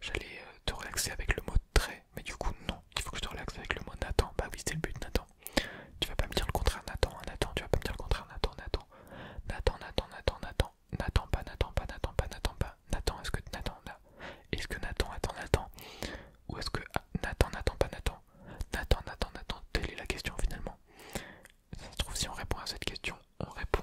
j'allais euh, te relaxer avec le mot trait, mais du coup non, il faut que je te relaxe avec le mot Nathan. Bah oui, c'est le but Nathan. Tu vas pas me dire le contraire Nathan, hein, Nathan, tu vas pas me dire le contraire Nathan, Nathan. Nathan, Nathan, Nathan, Nathan. Nathan pas, Nathan pas, Nathan pas, Nathan pas. Nathan, est-ce que Nathan là Est-ce que Nathan attend Nathan Ou est-ce que ah, Nathan, Nathan pas Nathan Nathan, Nathan, Nathan, telle est la question finalement. Ça se trouve si on répond à cette question, on répond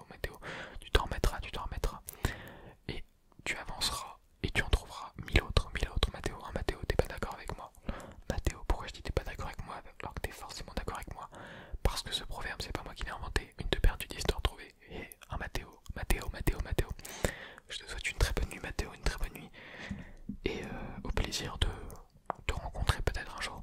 Mathéo, tu t'en remettras, tu t'en remettras. Et tu avanceras et tu en trouveras mille autres, mille autres. Mathéo, un hein, Mathéo, t'es pas d'accord avec moi. Mathéo, pourquoi je dis t'es pas d'accord avec moi alors que t'es forcément d'accord avec moi Parce que ce proverbe, c'est pas moi qui l'ai inventé. Une de perdue, dix de retrouver. Et un Mathéo, Mathéo, Mathéo, Mathéo. Je te souhaite une très bonne nuit, Mathéo, une très bonne nuit. Et euh, au plaisir de te rencontrer peut-être un jour.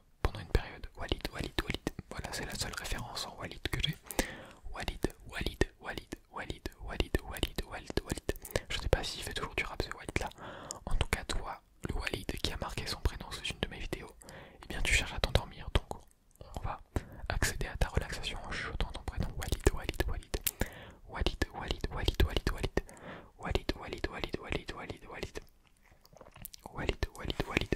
pendant une période. Walid, Walid, Walid. Voilà, c'est la seule référence en Walid que j'ai. Walid, Walid, Walid, Walid, Walid, Walid, Walid, Walid. Je sais pas s'il fait toujours du rap ce Walid là. En tout cas, toi, le Walid qui a marqué son prénom sous une de mes vidéos, eh bien tu cherches à t'endormir. Donc on va accéder à ta relaxation en chuchotant ton prénom Walid, Walid, Walid. Walid, Walid, Walid, Walid, Walid. Walid, Walid, Walid, Walid, Walid, Walid. Walid, Walid, Walid.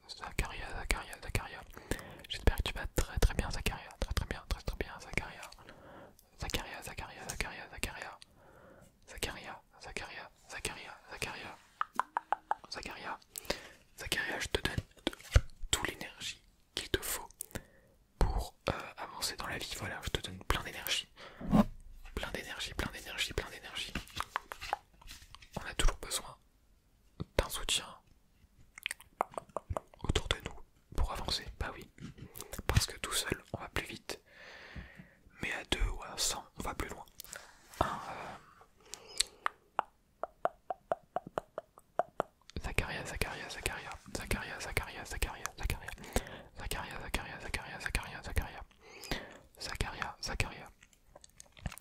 Zacharia, Zacharia, Zacharia. J'espère que tu vas très très bien, Zacharia. Très très bien, très très bien, Zacharia. Zacharia, Zacharia, Zacharia, Zacharia. Zacharia, Zacharia, Zacharia, Zacharia. Zacharia, Zacharia, je te donne toute l'énergie qu'il te faut pour euh, avancer dans la vie. Voilà, je te donne plein d'énergie. Plein d'énergie, plein d'énergie, plein d'énergie. On a toujours besoin d'un soutien autour de nous pour avancer. Bah oui, parce que tout seul on va plus vite, mais à deux ou à cent on va plus loin. Un, Zacharia, Zacharia, Zacharia, Zacharia, Zacharia, Zacharia, Zacharia, Zacharia, Zacharia, Zacharia, Zacharia, Zacharia, Zacharia, Zacharia,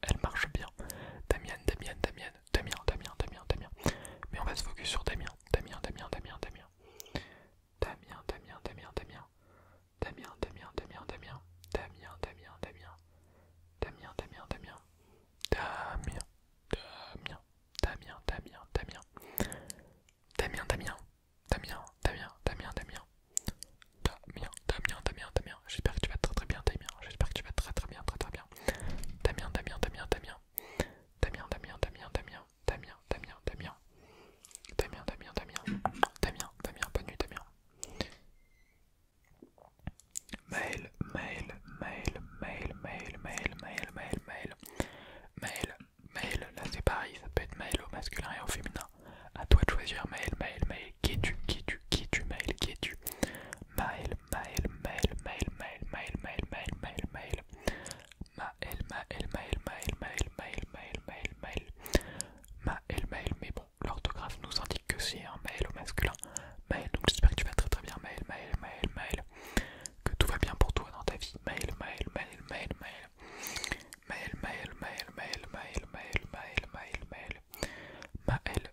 elle marche bien. Damien, Damien, Damien, Damien, Damien, Damien, Damien. Mais on va se focus sur Damien, Damien, Damien, Damien, Damien. Damien, Damien, Damien, Damien. Damien, Damien, Damien, Damien. Damien, Damien, Damien. Damien, Damien, Damien. Damien, Damien, Damien, Damien, Damien. Damien, Damien, Damien, Damien, Damien, Damien. Damien, Damien, Damien, Damien j'espère que tu vas très très bien Damien, j'espère que tu vas très très bien, très très bien. Damien, Damien, Damien, Damien. Damien, Damien, Damien, Damien, Damien, Damien, Damien. Damien, Damien, Damien. Damien, Damien, Damien. Mail, mail, mail, mail, mail, mail, mail, mail, mail. Mail, mail, là c'est pareil, ça peut être mail au masculin et au féminin. À toi de choisir mail, mail, mail. Qui es-tu Qui tu Qui tu Mail, qui tu Mail, Mail mail mail mail mail mail mail mail mail Maël, mail mail mail mail mail mail mail mail Maël, mail mais bon, l'orthographe nous indique que c'est un mail au masculin. Mail donc j'espère que tu vas très très bien, mail mail mail mail que tout va bien pour toi dans ta vie, Mail mail mail mail Mail mail mail mail mail mail mail Mail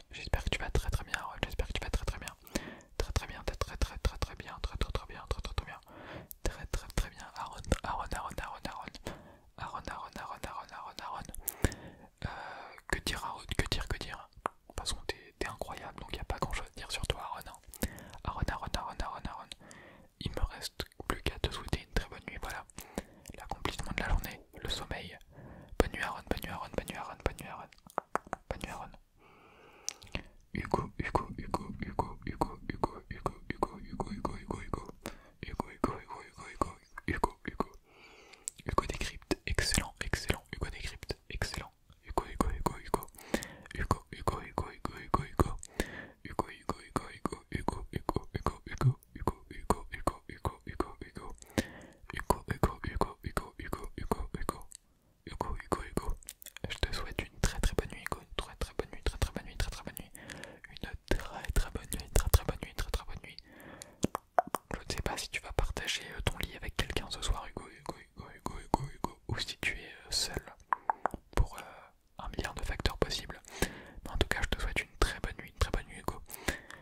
J'espère que tu vas très très bien. Ouais, J'espère que tu vas très très bien. Très très bien. Très très très très très bien. Très très très bien. Très très très bien. Très très très bien. Aaron, Aaron, Aaron, Aaron, Aaron. Aaron, Aaron, Aaron, Aaron, Aaron, Euh, que dire Aaron Que dire Que dire De toute t'es incroyable, donc il a pas grand chose à dire sur toi, Aaron. Aaron, Aaron, Aaron, Aaron, Aaron. Il me reste plus qu'à te souhaiter une très bonne nuit, voilà. L'accomplissement de la journée, le sommeil. Bonne nuit Aaron, bonne nuit bonne nuit bonne nuit Bonne nuit Hugo, Hugo, Hugo, Hugo, Hugo, Hugo, Hugo, Hugo, Hugo, Hugo, Hugo, Hugo. Hugo, Hugo, excellent, Ugo. Hugo, Hugo, Hugo, Hugo. Hugo, Hugo, Hugo, Hugo, Hugo, Hugo. Hugo, Hugo, Hugo, Hugo, Hugo, Hugo, Hugo, Hugo. Ugo Ugo Ugo Ugo Ugo Ugo Ugo Ugo Ugo Ugo Ugo Ugo Ugo Ugo Ugo Ugo Je te souhaite une très très bonne nuit, Ugo une très très bonne nuit, très très bonne nuit, très très bonne nuit, une très très bonne nuit, très très bonne nuit, très très bonne nuit. Je ne sais pas si tu vas partager ton lit avec quelqu'un ce soir, Hugo, Ugo Ugo Ugo Ugo ou si tu es seul pour un milliard de facteurs possibles. Mais en tout cas, je te souhaite une très bonne nuit, une très bonne nuit, Ugo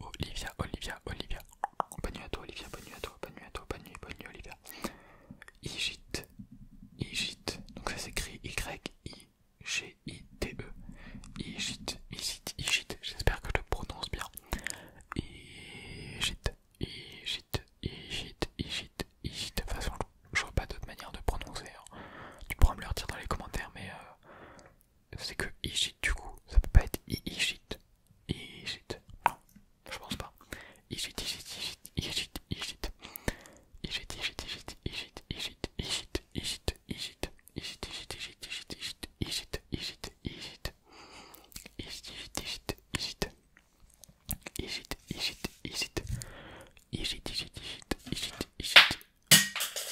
Olivia, Olivia, Olivia. Bonne nuit à toi, Olivia. Bonne nuit à toi, bonne nuit à toi, bonne nuit, bonne nuit, Olivia. Igit, Igit. Donc ça s'écrit Y-I-G-I-T-E. E. Igite, Igite, Igite. J'espère que je le prononce bien. Igit, Igit, Igit, Igit, Igit. De toute façon, je vois pas d'autre manière de prononcer. Hein. Tu pourras me le dire dans les commentaires, mais euh, c'est que du coup, ça peut pas être Igit. je pense pas. Igit, Igit, Igit, Igit, Igit,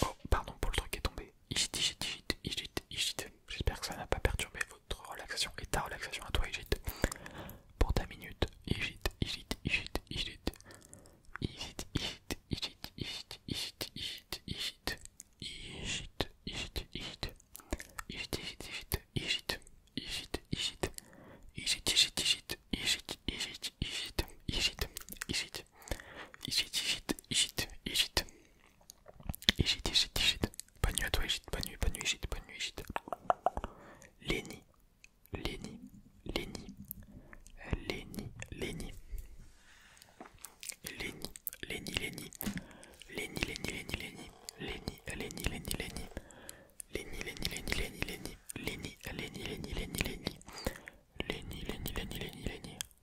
Oh, pardon pour le truc qui est tombé. Igit, Igit, Igit, Igit, Igit. J'espère que ça n'a pas perturbé votre relaxation et ta relaxation à toi, Igit. Pour ta minute, Igit, Igit, Igit, Igit. Igit, Igit, Igit, Igit, Igit, Igit, Igit. Igit, Igit, Igit. Igit, Igit, Igit, Igit, Igit. Igit, Igit, Igit, Igit, Igit, Igit, Igit, Igit. Igit, Igit, Igit, Igit, Igit. Égide, Égide, Leni, Bonne nuit à toi, Égide. Bonne nuit, bonne nuit, Leni, Bonne nuit, Leni, Lenny, Lenny, Lenny, Lenny, Lenny. Lenny, Lenny, Lenny. Lenny, Lenny, Lenny, Lenny. Lenny, Lenny, Lenny, Lenny. Lenny,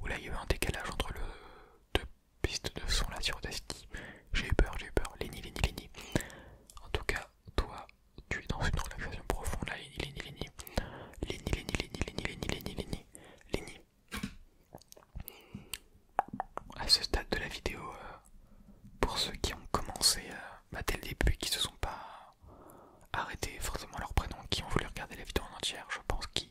où là il y a eu un décalage entre le deux pistes de son là sur Audacity. J'ai eu peur, j'ai eu peur. Lenny, Lenny, Lenny. En tout cas, toi, tu es dans une relaxation profonde là, Lenny, Lenny, Lenny. Lenny, Lenny, Lenny, Lenny, Lenny, Lenny, Lenny. À ce stade de la vidéo, euh, pour ceux qui ont commencé euh, bah, dès le début qui se sont pas arrêtés forcément leur prénom, qui ont voulu regarder la vidéo en entière, je pense qu'ils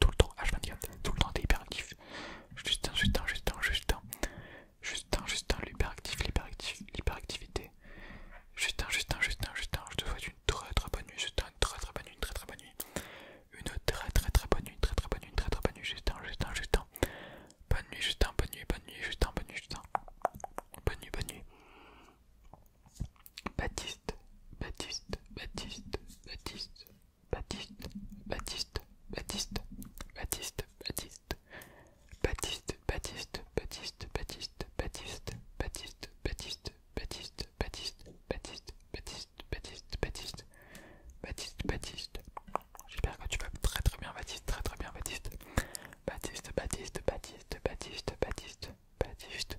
tout le temps, h tout le temps t'es hyperactif. Justin, Justin, Justin, Justin, Justin, Justin, l'hyperactif, juste l'hyperactivité. Justin, Justin, Justin, Justin, je te souhaite une très très bonne nuit, Justin, une très très bonne nuit, très très bonne nuit. Une très très très bonne nuit, très très bonne très très bonne nuit, Justin, Bonne nuit, Justin, bonne nuit, bonne nuit, Justin, bonne nuit, Justin. Bonne nuit, bonne nuit. Baptiste, Baptiste, Baptiste, Baptiste, Baptiste, Baptiste, Baptiste, Baptiste, Baptiste, Baptiste, Baptiste, Baptiste, Baptiste, Baptiste, Baptiste, Baptiste, Baptiste, Baptiste, Baptiste, Baptiste, Baptiste, Baptiste, Baptiste, Baptiste. J'espère que tu vas très très bien, Baptiste, très très bien, Baptiste. Baptiste, Baptiste, Baptiste, Baptiste, Baptiste, Baptiste,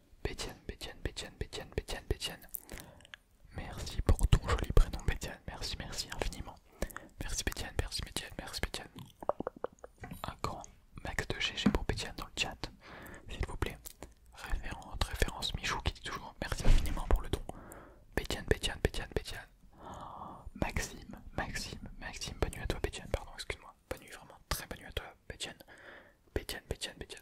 Bétienne, Bétienne, Bétienne, Bétienne, Bétienne, Bétienne. Merci pour ton joli prénom, Bétienne. Merci, merci infiniment. Merci, Bétienne, merci, Bétienne, merci, Bétienne. Un grand max de GG pour Bétienne dans le chat, s'il vous plaît. Référence, référence Michou qui dit toujours merci infiniment pour le don. Bétienne, Bétienne, Bétienne, Bétienne. Oh, Maxime, Maxime, Maxime, bonne nuit à toi, Bétienne, pardon, excuse-moi. Bonne nuit, vraiment, très bonne nuit à toi, Bétienne. Bétienne, Bétienne, Bétienne.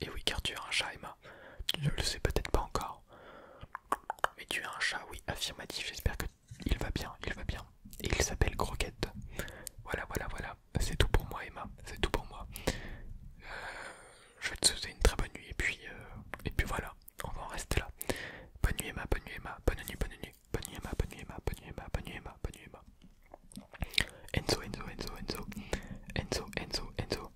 et eh oui, car tu es un chat, Emma. Tu ne le sais peut-être pas encore. Mais tu es un chat, oui, affirmatif. J'espère que il va bien, il va bien. il s'appelle Croquette. Voilà, voilà, voilà. C'est tout pour moi, Emma. C'est tout pour moi. Euh, je vais te souhaiter une très bonne nuit. Et puis, euh, et puis voilà. On va en rester là. Bonne nuit, Emma. Bonne nuit, Emma. Bonne nuit, bonne nuit. Emma. Bonne nuit, Emma. Bonne nuit, Emma. Bonne nuit, Emma. Bonne nuit, Emma. Enzo, Enzo, Enzo, Enzo. Enzo, Enzo, Enzo.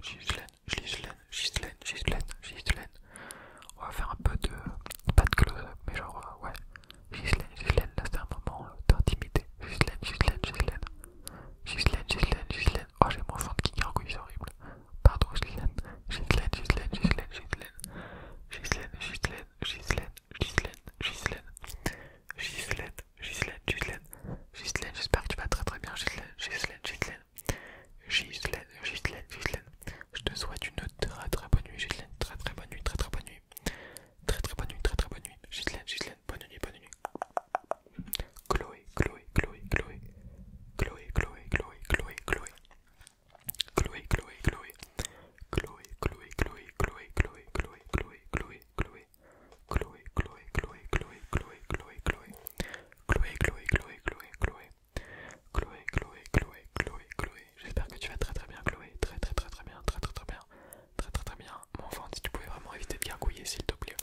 Gislaine, Gislaine, Gislaine, Gislaine, Gislaine. On va faire un peu de. pas de close-up, mais genre, ouais. Gislaine, Gislaine, là c'est un moment d'intimité. Gislaine, Gislaine, Gislaine. Gislaine, Gislaine, giselaine. Oh, j'ai mon fond qui gargouille, est horrible. Pardon, Gislaine. Gislaine, Gislaine, Gislaine, Gislaine. Giselaine, Gislaine, Gislaine, Gislaine, Gislaine, Gislaine, Gislaine, j'espère que tu vas très très bien, Gislaine, Gislaine, Gislaine, Je te souhaite une très très bonne nuit, Gislaine, très très bonne nuit, très très bonne nuit, très très bonne nuit, très très bonne nuit, bonne nuit, bonne nuit. Chloé, Chloé, Chloé, Chloé, Chloé, Chloé, Chloé. Chloé, Chloé, Chloé, Chloé, Chloé, Chloé, Chloé, Chloé, Chloé, Chloé, Chloé, Chloé, Chloé, Chloé, Chloé, Chloé, Chloé, Chloé, Chloé, Chloé, Chloé, Chloé, Chloé, Chloé, Chloé, Chloé, Chloé, Chloé. J'espère que tu vas très très bien, Chloé. Très très très très bien, très très très bien, très très bien. Mon enfant, si tu pouvais vraiment éviter de gargouiller, s'il te plaît.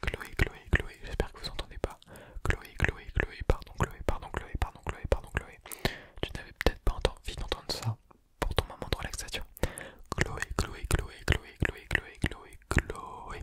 Chloé, Chloé, Chloé. J'espère que vous entendez pas. Chloé, Chloé, Chloé. Pardon, Chloé, pardon, Chloé, pardon, Chloé, pardon, Chloé. Tu n'avais peut-être pas envie d'entendre ça pour ton moment de relaxation. Chloé, Chloé, Chloé, Chloé, Chloé, Chloé, Chloé, Chloé, Chloé.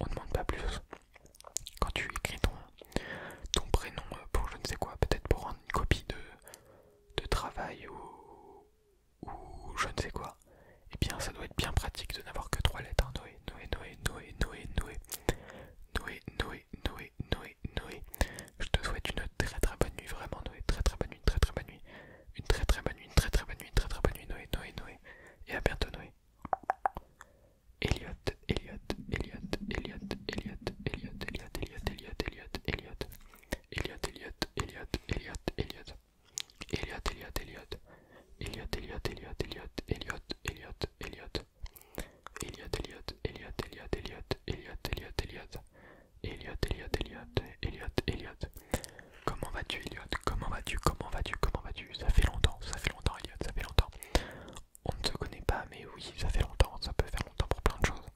on demande pas plus. Quand tu écris ton, ton prénom euh, pour je ne sais quoi, peut-être pour rendre une copie de, de travail ou, ou je ne sais quoi, eh bien ça doit être bien pratique de n'avoir que trois lettres. Hein. Noé, Noé, Noé, Noé, Noé, Noé. Noé, Noé, Noé, Noé, Noé. Je te souhaite une très très bonne nuit, vraiment Noé, très très bonne nuit, très très bonne nuit. Une très très bonne nuit, une très très bonne nuit, très très bonne nuit, Noé, Noé, Noé. Et à bientôt Noé. Elliot, Elliot, Elliot, Elliot, Eliot, Eliot, Eliot, Eliot, Eliot, Eliot, Eliot, Eliot, Elliot, Eliot, Elliot. Comment vas-tu Elliot Comment vas-tu Comment vas-tu Comment vas-tu Ça fait longtemps, ça fait longtemps Eliot, ça fait longtemps. On ne se connaît pas, mais oui, ça fait longtemps, ça peut faire longtemps pour plein de choses.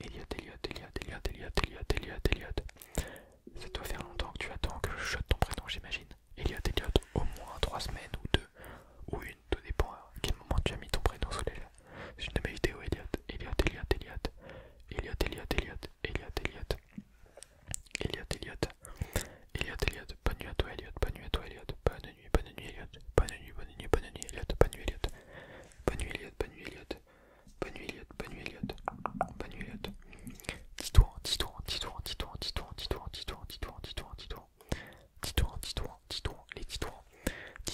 Eliot, Eliot, Eliot, Eliot, Eliot, Eliot, Eliot, Eliot. Ça doit faire longtemps que tu attends que je chote ton prénom, j'imagine. Eliot, Eliot, au moins 3 semaines ou 2 ou une, tout dépend à quel moment tu as mis ton prénom sous les C'est une de mes vidéos, Eliot, Eliot, Eliot, Eliot, Eliot, Eliot, Eliot, Elliot, Eliot Eliot Eliot Eliot bonne nuit à toi, bonne nuit bonne nuit, bonne nuit, bonne nuit, bonne nuit, bonne nuit, Eliot bonne nuit, Eliot bonne nuit, Eliot bonne nuit, Eliot bonne nuit, Eliot bonne nuit, bonne nuit, toi toi toi toi toi toi toi toi toi toi toi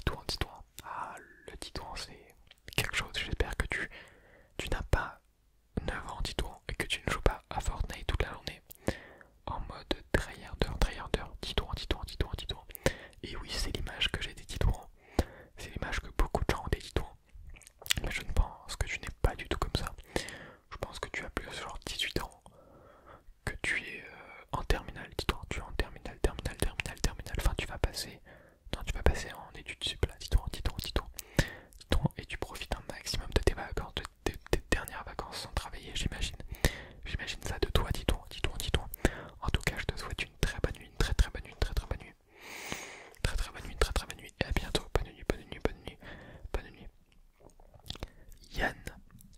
toi toi Ah, le dis c'est quelque chose. J'espère que tu, tu n'as pas 9 ans, dit-on, et que tu ne joues pas à Fortnite toute la journée en mode tryharder, tryharder, dit-on, dit-on, dit-on, dit Et oui, c'est l'image que j'ai des titouans, c'est l'image que beaucoup de gens ont des titouans, mais je ne pense que tu n'es pas du tout comme ça. Je pense que tu as plus genre 18 ans, que tu es euh, en terminale, dit toi tu es en terminale, terminale, terminale, terminale, enfin tu vas passer, tu vas passer en études sup là, dit toi dit toi, et tu profites un maximum de tes vacances, de tes, dernières vacances sans travailler, j'imagine. J'imagine ça de toi, dis-toi, dis-toi, dis-toi. En tout cas, je te souhaite une très bonne nuit, une très très bonne nuit, une très très bonne nuit. Très très bonne nuit, très très bonne nuit, et à bientôt. Bonne nuit, bonne nuit, bonne nuit, bonne nuit. Yen,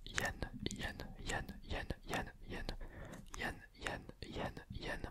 yen, yen, yen, yen, yen, yen, yen, yen, yen, yen.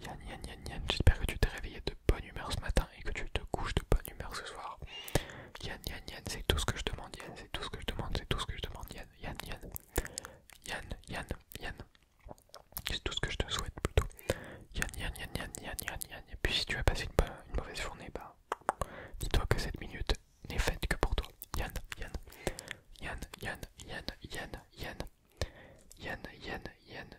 Yann, Yan Yan Yan, j'espère que tu t'es réveillé de bonne humeur ce matin et que tu te couches de bonne humeur ce soir. Yann, Yan Yan, c'est tout ce que je demande, Yann, c'est tout ce que je demande, c'est tout ce que je demande, Yan Yan Yan Yan Yan, c'est tout ce que je te souhaite plutôt. Yann, Yan Yan Yan Yan Yan Yan, et puis si tu as passé une, mauvaise journée, bah, dis-toi que cette minute n'est faite que pour toi. Yann, Yan Yan Yann, Yann, Yann, Yann, Yann, Yann, Yann,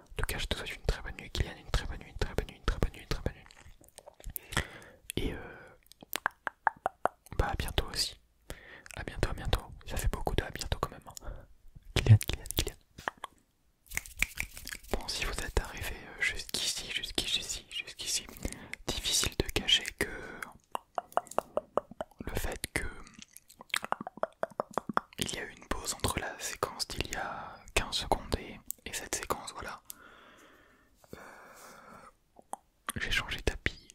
en tout cas, je te souhaite une très bonne nuit, Kylian, une très bonne nuit, une très bonne nuit, une très bonne nuit, une très bonne nuit. Et euh, bah à bientôt aussi. À bientôt, à bientôt. Ça fait beaucoup de à bientôt quand même. Hein. Kylian, Kylian, Kylian. Bon, si vous êtes arrivé euh, jusqu'ici, jusqu'ici, jusqu'ici, difficile de cacher que le fait que il y a eu une pause entre la séquence d'il y a 15 secondes et et cette séquence, voilà. Euh, j'ai changé tapis.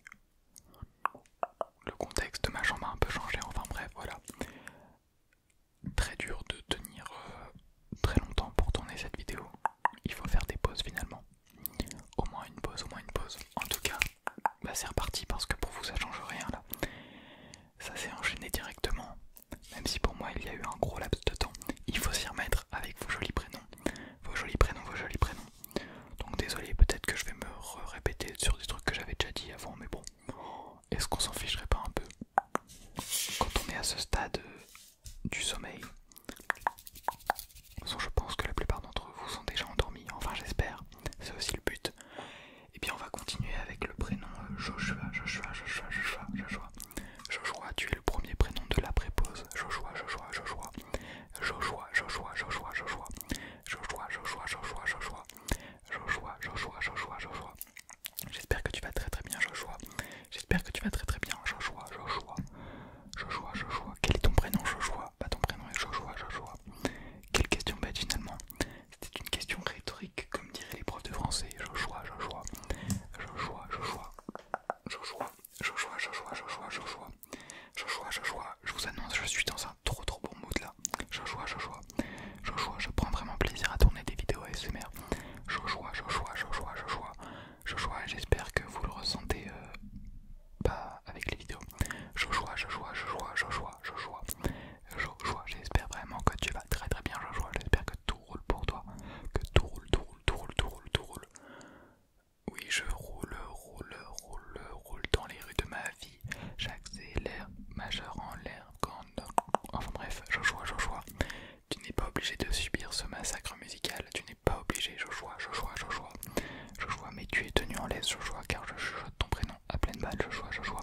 Le contexte de ma chambre a un peu changé, enfin bref, voilà. Très dur de tenir euh, très longtemps pour tourner cette vidéo. Il faut faire des pauses finalement. Au moins une pause, au moins une pause. En tout cas, bah, c'est reparti parce que pour vous ça change rien là ça s'est enchaîné directement. Même si pour moi il y a eu un gros laps de temps, il faut s'y remettre avec vos jolis prénoms, vos jolis prénoms, vos jolis prénoms. Donc désolé, peut-être que je vais me répéter sur des trucs que j'avais déjà dit avant, mais bon, est-ce qu'on s'en ficherait pas un peu Quand on est à ce stade du sommeil, je pense que la plupart d'entre vous sont déjà endormis, enfin j'espère, c'est aussi le but. Et bien on va continuer avec le prénom Joshua, Joshua, Joshua, Joshua, Joshua. Joshua, tu es le premier prénom de la prépose. Joshua, Joshua, Joshua. Joshua, Joshua, Joshua, Joshua. Joshua, Joshua, Joshua, Joshua. je Joshua, je J'espère que tu vas très très bien, Joshua. J'espère que tu vas très très bien, Joshua, Joshua. je Joshua. Quel est ton prénom, Joshua Bah ton prénom est Joshua, Joshua. Quelle question bête finalement. C'était une question rhétorique, comme dirait les profs de français. Joshua, je Joshua, je Joshua, je Joshua, je Joshua, je Joshua. Je vous annonce, je suis dans un trop trop bon mood là. Joshua, je Joshua. Je prends vraiment plaisir à tourner des vidéos ASMR. Joshua, Joshua, Joshua, Joshua, Joshua. J'espère que vous le ressentez euh, pas avec les vidéos. je Joshua, je Joshua, je Joshua, j'espère vraiment que tu vas très très bien Joshua, j'espère que tout roule pour toi, que tout roule, tout roule, tout roule, tout roule, tout roule. Oui, je roule, roule, roule, roule dans les rues de ma vie. J'accélère, majeur en l'air, quand... Enfin bref, je chois. tu n'es pas obligé de subir ce massacre musical. Tu n'es pas obligé, je je je chois. je Joshua, mais tu es tenu en laisse, chois, car je chuchote ton prénom à pleine balle, je chois.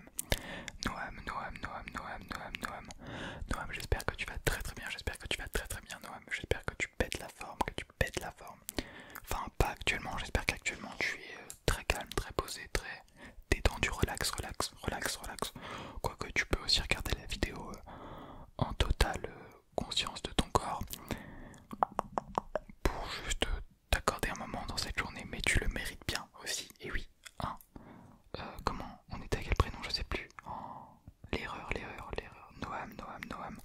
Noam. Noam, Noam, Noam, Noam, Noam, Noam. j'espère que tu vas très très bien, j'espère que tu vas très très bien, Noam. J'espère que tu pètes la forme, que tu pètes la forme. Enfin, pas actuellement, j'espère qu'actuellement tu es euh, très calme, très posé, très détendu, relax, relax, relax, relax. Quoique tu peux aussi regarder la vidéo euh, en totale euh, conscience de ton corps pour juste t'accorder un moment dans cette journée, mais tu le mérites bien aussi, et oui, hein, euh, comment On était à quel prénom Je sais plus. Oh, l'erreur, l'erreur, l'erreur. Noam, Noam, Noam.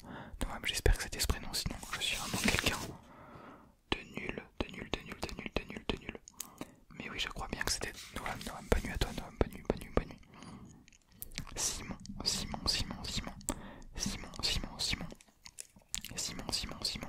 Noam, j'espère que c'était ce prénom, sinon je suis un vraiment quelqu'un de nul, de nul, de nul, de nul, de nul, de nul. Mais oui, je crois bien que c'était Noam, Noam. pas nu à toi, Noam. Bonne nuit, bonne Simon, Simon, Simon. Simon, Simon, Simon. Simon, Simon, Simon.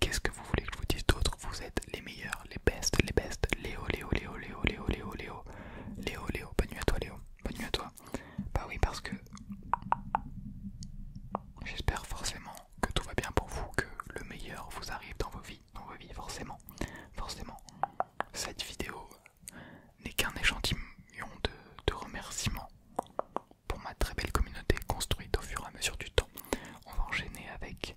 Qu'est-ce que vous voulez que je vous dise d'autre Vous êtes les meilleurs, les bestes, les bestes. Léo, Léo, Léo, Léo, Léo, Léo, Léo. Léo, Léo, bonne nuit à toi, Léo. Bonne nuit à toi. Bah oui, parce que j'espère forcément que tout va bien pour vous, que le meilleur vous arrive dans vos vies, dans vos vies, forcément. Forcément. Cette vidéo n'est qu'un échantillon de, de remerciements pour ma très belle communauté construite au fur et à mesure du temps. On va enchaîner avec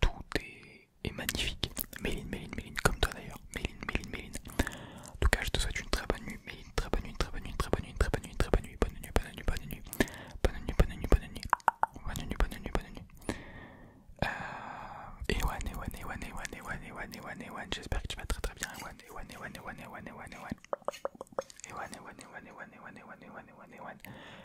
tout est, magnifique. Méline, Méline, Méline, comme toi d'ailleurs. Méline, Méline, Méline. En tout cas, je te souhaite une très bonne nuit. Méline, très bonne nuit, très bonne nuit, très bonne nuit, très bonne nuit, très bonne nuit. Bonne nuit, bonne nuit, bonne nuit. Bonne nuit, bonne nuit, bonne nuit. Bonne nuit, bonne nuit, bonne nuit. et nuit, et nuit, et nuit, et nuit, J'espère que tu vas très très bien. Ewan, bonne Ewan, bonne Ewan, Ewan, Ewan. Ewan,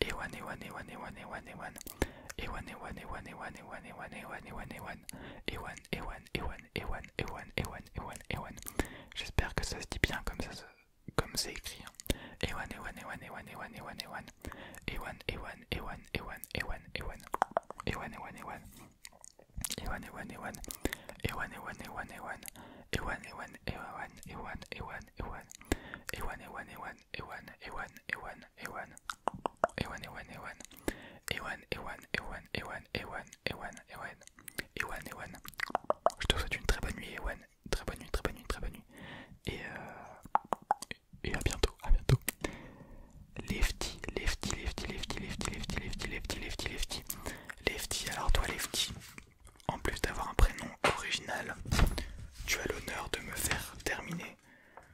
Ewan, Ewan, Ewan, Ewan, Ewan, Ewan. Ewan, Ewan, Ewan, Ewan, Ewan, Ewan, Ewan, Ewan, Ewan. Ewan, J'espère que ça se dit bien comme ça comme c'est écrit. Ewan, Ewan, Ewan, Ewan, Ewan, Ewan, Ewan, Ewan. Ewan, Ewan, Ewan. Ewan, Ewan, Ewan, Ewan. Ewan, Ewan, Ewan, Ewan, Ewan, Ewan. Ewan, Ewan, Ewan, Ewan, Ewan, Ewan. Ewan, Ewan, Ewan, Ewan, Ewan, Ewan, Ewan, Ewan, Ewan, Ewan, Ewan, Ewan, Ewan. Je te souhaite une très bonne nuit, Ewan. Très bonne nuit, très bonne nuit, très bonne nuit. Et, euh, et à bientôt, à bientôt. Lefty, lefty, lefty, lefty, lefty, lefty, lefty, lefty, lefty, lefty. Lefty, alors toi, lefty, en plus d'avoir un prénom original, tu as l'honneur de me faire terminer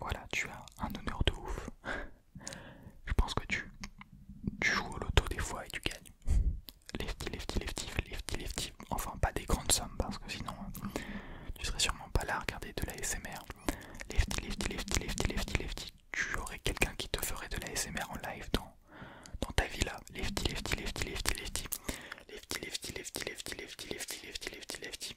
voilà, tu as un honneur de ouf. Je pense que tu, joues au loto des fois et tu gagnes. Lefty, lefty, lefty, lefty, lefty. Enfin, pas des grandes sommes parce que sinon tu serais sûrement pas là à regarder de la SMR. Lefty, lefty, lefty, lefty, lefty, lefty. Tu aurais quelqu'un qui te ferait de la SMR en live dans, ta vie là. Lefty, lefty, lefty, lefty, lefty. Lefty, lefty, lefty, lefty, lefty, lefty, lefty, lefty, lefty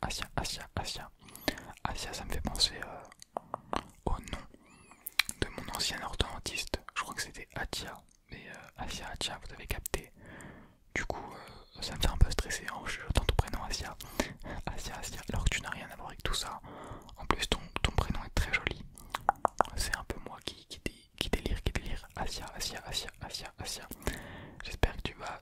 Asia, Asia, Asia, Asia. ça me fait penser euh, au nom de mon ancien orthodontiste. Je crois que c'était Atia. Mais euh, Asya, Asia, vous avez capté. Du coup, euh, ça me fait un peu stresser en hein, ton prénom Asia. Asia, Asia. Alors que tu n'as rien à voir avec tout ça. En plus, ton, prénom est très joli. C'est un peu moi qui, qui, qui délire, qui délire. Asia, Asia, Asia, Asia, Asia. J'espère que tu vas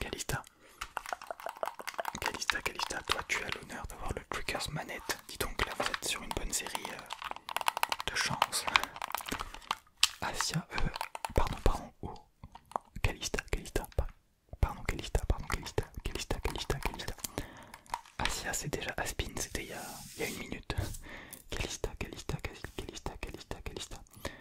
Calista. Calista. Calista, toi tu as l'honneur d'avoir le Tricker's Manette. Dis donc là vous êtes sur une bonne série euh, de chance. Asia, euh, pardon, pardon, oh. Calista, Calista, pardon, Calista, pardon, Calista, Calista, Calista, Calista. Asia c'est déjà Aspin, c'était il y, a... une minute. Calista, Calista, Calista, Calista. Calista.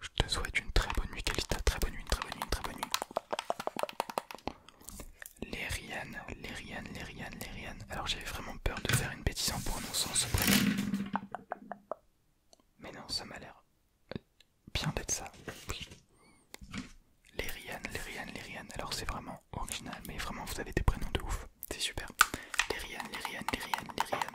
Je te souhaite une très bonne nuit, Calita. Très bonne nuit, très bonne nuit, une très bonne nuit. Lériane, Alors j'avais vraiment peur de faire une bêtise en prononçant ce prénom. Mais non, ça m'a l'air bien d'être ça. Lériane, Lériane, Lériane. Alors c'est vraiment original, mais vraiment vous avez des prénoms de ouf. C'est super. Lériane, Lériane, Lériane, Lériane.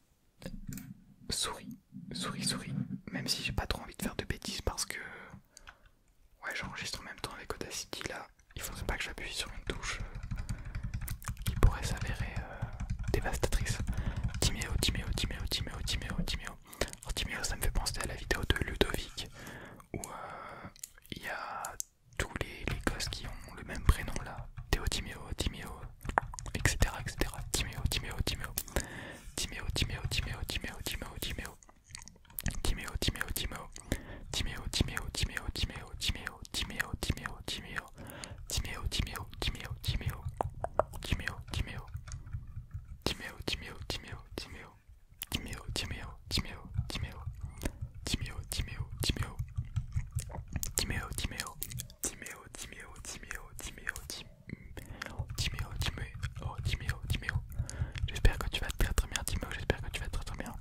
Souris, souris, souris. Même si j'ai pas trop envie de faire de bêtises parce que. Ouais, j'enregistre en même temps avec Audacity là. Il faudrait pas que j'appuie sur une touche euh, qui pourrait s'avérer euh, dévastatrice. Timéo, Timéo, Timéo, Timéo, Timéo, Timéo. ça me fait penser à la vidéo de Ludovic où euh, il y a tous les, les gosses qui ont le même prénom là. Théo, Timéo, Timéo, etc. etc. Timéo, Timéo, oh, Timéo, Timéo. J'espère que tu vas très très bien, Timéo. J'espère que tu vas très très bien.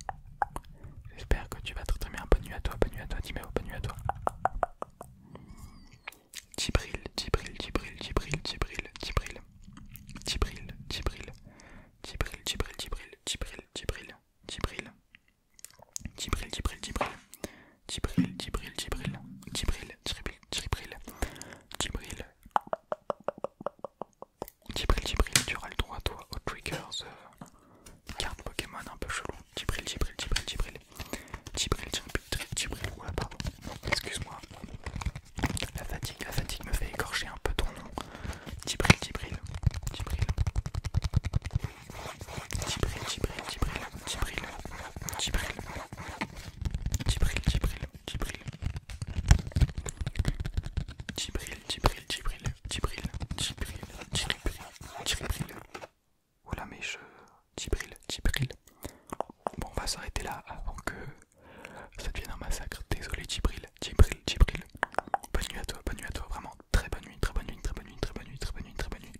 J'espère que tu vas très très bien. Bonne nuit à toi, bonne nuit à toi, Timéo, bonne nuit à toi. Tibril, Tibril, Tibril, Tibril, Tibril, Tibril, Tibril, Tibril, Tibril, Tibril, Tibril, Tibril, Tibril, Tibril, Tibril, Tibril, Tibril, Tibril, tibril, tibril, tibril, tibril, tibril. Tibril tibril, Tibril, tu auras le droit toi Tibril, triggers, Pokémon un peu chelou. tibril tibril, tibril tibril tibril tibril tibril, oula pardon, excuse-moi, la fatigue, la fatigue me fait écorcher un peu ton nom. Tibril tibril, tibril. Tibril tibril tibril. Djibril, Djibril, Tibril, Tibril, Tibril, Djibril, Tibril, Tibril, Tibril, Tibril, Tibril, Tibril, Voilà mes jeux, Tibril, Tibril. Bon, on va s'arrêter là avant que ça devienne un massacre. Désolé, Tibril, Tibril, Tibril. Bonne nuit à toi, bonne nuit à toi, vraiment. Très bonne nuit, très bonne nuit, très bonne nuit, très bonne nuit, très bonne nuit, très bonne nuit.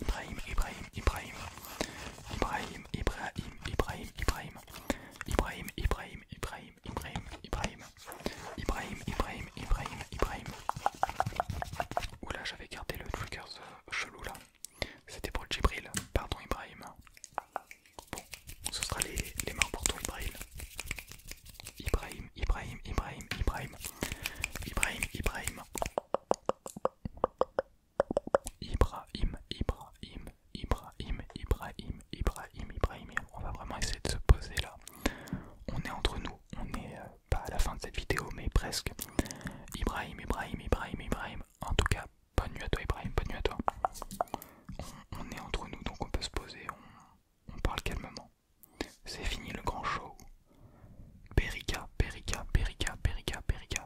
Ibrahim, Ibrahim, Ibrahim, Ibrahim, Ibrahim, Ibrahim, Ibrahim, Ibrahim, Ibrahim, Ibrahim, Ibrahim, Ibrahim, Ibrahim, Ibrahim, Ibrahim, Oula, j'avais gardé le triggers chelou là. C'était pour Djibril, pardon Ibrahim. Bon, ce sera les, les mains pour toi Ibrahim. Ibrahim, Ibrahim, Ibrahim, Ibrahim, Ibrahim, Ibrahim. Ibrahim, Ibrahim, Ibrahim, Ibrahim, Ibrahim, Ibrahim. On va vraiment essayer de se poser là. On est entre nous, on est euh, pas à la fin de cette vidéo, mais presque. Ibrahim, Ibrahim, Ibrahim, Ibrahim. En tout cas, bonne nuit à toi, Ibrahim, bonne nuit à toi. On, est entre nous, donc on peut se poser, on, on parle calmement. C'est fini le grand show. Perica, Perica, Perica, Perica, Perica,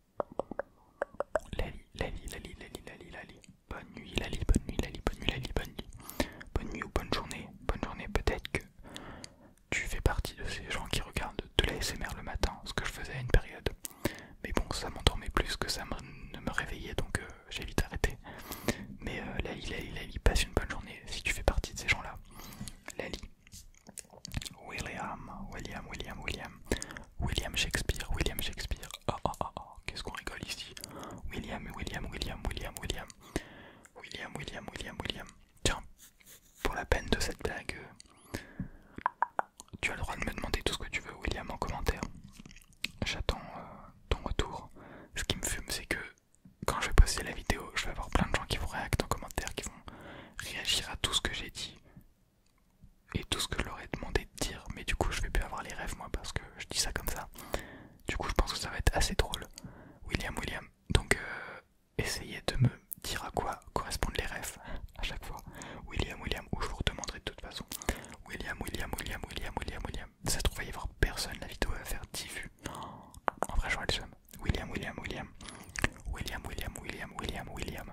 Lali, Lali, Lali, Lali, Lali, Lali. Bonne nuit, Lali, bonne nuit, Lali, bonne nuit, Lali, bonne nuit. Bonne nuit ou bonne journée. Bonne journée, peut-être que tu fais partie de ces gens qui regardent de l'ASMR le matin, ce que je faisais à une période. Mais bon, ça m'endormait plus que ça ne me réveillait, donc euh, j'ai vite arrêté. Mais euh, Lali, Lali, Lali, passe une bonne journée si tu fais partie de ces gens-là. Lali, William, William, William, William. William Shakespeare, William Shakespeare. Oh, oh oh oh, qu'est-ce qu'on rigole ici. William, William, William, William, William. William, William, William, William. Tiens, pour la peine de cette blague, euh, tu as le droit de me demander tout ce que tu veux, William, en commentaire. J'attends euh, ton retour. Ce qui me fume, c'est que quand je vais poster la vidéo, je vais avoir plein de gens qui vont réagir en commentaire, qui vont réagir à tout ce que j'ai dit et tout ce que je leur ai demandé de dire, mais du coup je vais plus avoir les rêves moi parce que je dis ça comme ça. Du coup je pense que ça va être assez drôle. William, William, donc euh, essayez de me dire à quoi correspondent les rêves à chaque fois. William, William, ou je vous redemanderai de toute façon. William, William, William, William, William, William. Ça se trouve, il va y avoir personne, la vidéo va faire 10 vues. En vrai, vois le seum. William, William, William. William, William, William, William, William,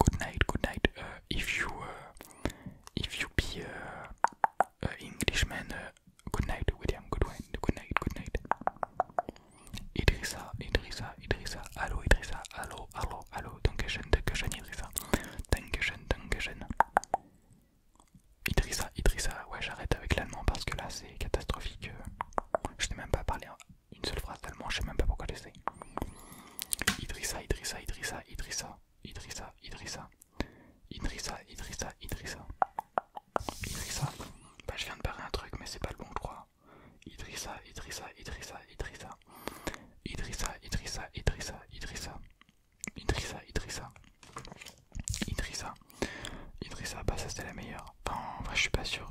good night, good night. Euh, if you, euh, if you be uh, Englishman, good night, William. Good night, good night, good night. Idrissa, Idrissa, Idrissa. Allô, Idrissa. Allô, allô, allô. Dankeschön, Dankeschön, Idrissa. Dankeschön, Dankeschön. Idrissa, Idrissa. Ouais, j'arrête avec l'allemand parce que là, c'est catastrophique. Je n'ai même pas parler une seule phrase tellement je sais même pas pourquoi j'essaie. Idrissa, Idrissa, Idrissa, Idrissa, Idrissa, Idrissa, Idrissa, Idrissa, Idrissa, Idrissa. Bah, je viens de barrer un truc, mais c'est pas le bon, pour crois. Idrissa, Idrissa, Idrissa, Idrissa, Idrissa, Idrissa, Idrissa, Idrissa, Idrissa, Idrissa, Idrissa, Idrissa, bah ça c'était la meilleure. Enfin, je suis pas sûr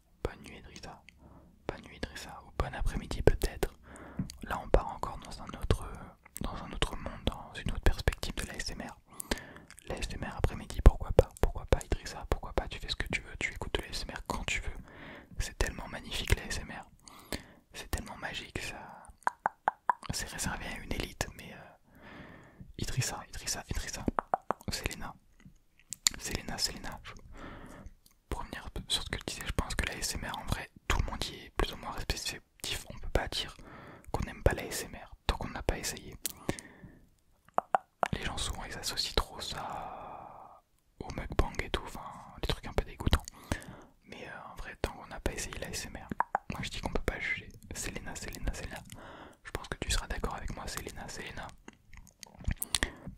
bonne nuit Idrissa, bonne nuit Idrissa, ou bon après-midi peut-être. Là on part encore dans un autre dans un monde, dans une autre perspective de l'ASMR. L'ASMR après-midi, pourquoi pas, pourquoi pas Idrissa, pourquoi pas, tu fais ce que tu veux, tu écoutes de l'ASMR quand tu veux. C'est tellement magnifique l'ASMR, c'est tellement magique, ça c'est réservé à une élite, mais Idrissa, euh, Idrissa, Idrissa, Idrissa, Selena, Selena, Selena pour revenir sur ce que je disais, je pense que la en vrai, tout le monde y est plus ou moins respectif. On peut pas dire qu'on n'aime pas la tant qu'on n'a pas essayé. Les gens souvent ils associent trop ça au mukbang et tout, enfin des trucs un peu dégoûtants. Mais euh, en vrai, tant qu'on n'a pas essayé la moi je dis qu'on peut pas juger. Selena, Selena, Selena. Je pense que tu seras d'accord avec moi, Selena, Selena.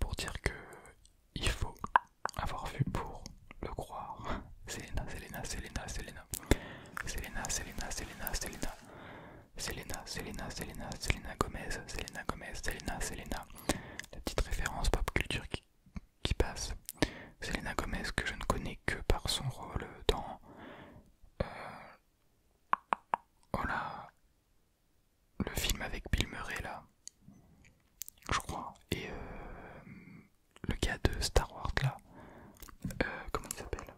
Pour dire que il faut avoir vu pour le croire. Selena, Selena, Selena, Selena. Selena, Selena, Selena, Selena. Selena, Selena, Selena, Selena Gomez, Selena Gomez, Selena, Selena. La petite référence pop culture qui, qui passe. Selena Gomez que je ne connais que par son rôle dans... Euh, oh là le film avec Bill Murray là, je crois, et euh, le gars de Star Wars là, euh, comment il s'appelle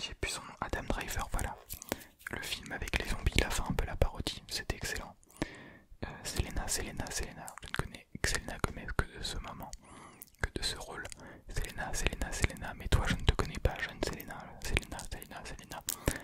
J'ai plus son nom, Adam Driver, voilà. Le film avec les zombies, il a un peu la parodie, c'était excellent. Euh, Selena, Selena, Selena, je ne connais que Selena que de ce moment, que de ce rôle. Selena, Selena, Selena, mais toi je ne te connais pas, jeune Selena, Selena, Selena, Selena.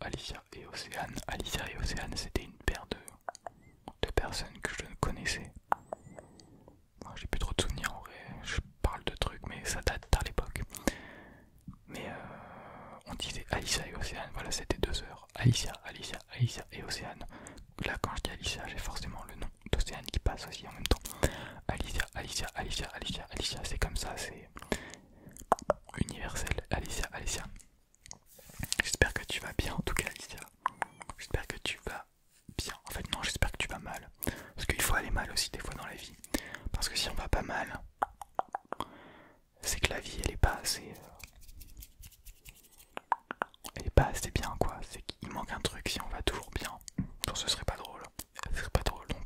Alicia et Océane. Alicia et Océane, c'était une paire de, personnes que je ne connaissais. J'ai plus trop de souvenirs en vrai, je parle de trucs, mais ça date à l'époque. Mais euh, on disait Alicia et Océane, voilà, c'était deux heures. Alicia, Alicia, Alicia et Océane. Là, quand je dis Alicia, j'ai forcément le nom d'Océane qui passe aussi en même temps. Alicia, Alicia, Alicia, Alicia, Alicia, c'est comme ça, c'est universel. Alicia, Alicia. J'espère que tu vas bien en tout cas Alicia. J'espère que tu vas bien. En fait non, j'espère que tu vas mal. Parce qu'il faut aller mal aussi des fois dans la vie. Parce que si on va pas mal, c'est que la vie elle est pas assez... Euh, elle est pas assez bien quoi. C'est qu'il manque un truc si on va toujours bien. ce serait pas drôle. Ce serait pas drôle donc...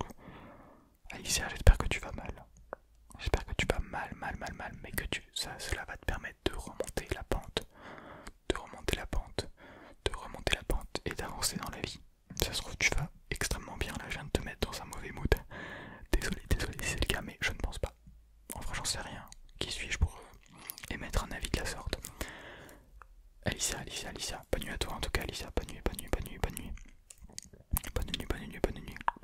Alicia, j'espère que tu vas mal. J'espère que tu vas mal, mal, mal, mal, mais que tu, ça, cela va te permettre de remonter la pente, de remonter la pente, de remonter la pente et d'avancer dans la vie. Ça se trouve, tu vas extrêmement bien. Là, je viens de te mettre dans un mauvais mood. Désolé, désolé c'est le cas, mais je ne pense pas. Enfin, j'en sais rien. Qui suis-je pour euh, émettre un avis de la sorte Alicia, Alicia, Alicia, bonne nuit à toi en tout cas, Alicia, bonne nuit, bonne nuit, bonne nuit, bonne nuit. Bonne nuit, bonne nuit, bonne nuit.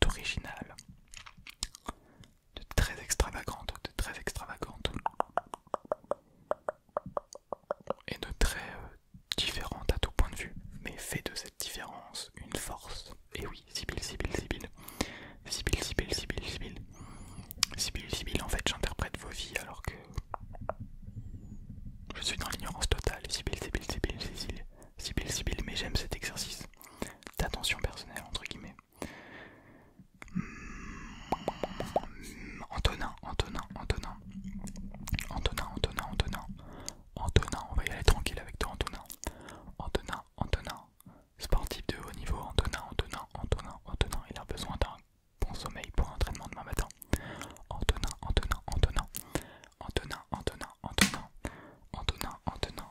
d'original, de très extravagante, de très extravagante et de très différente à tout point de vue, mais fait de cette différence une force. Et oui, Sibyl, Sibyl, Sibyl, Sibyl, Sibyl, Sibyl, Sibyl, Sibyl, Sibyl, en fait j'interprète vos vies alors que je suis dans l'ignorance totale. Sibyl, Sibyl, Sibyl, Sibyl, Sibyl, Sibyl, mais j'aime cet exercice d'attention personnelle entre guillemets. Antonin, Antonin, Antonin, Antonin, Antonin, Antonin, Antonin, on va y aller tranquille avec toi Antonin, Antonin, Antonin, sportif de haut niveau, Antonin, Antonin, Antonin, Antonin, il a besoin d'un bon sommeil pour l'entraînement demain matin. Antonin, Antonin, Antonin, Antonin, Antonin, Antonin, Antonin, Antonin,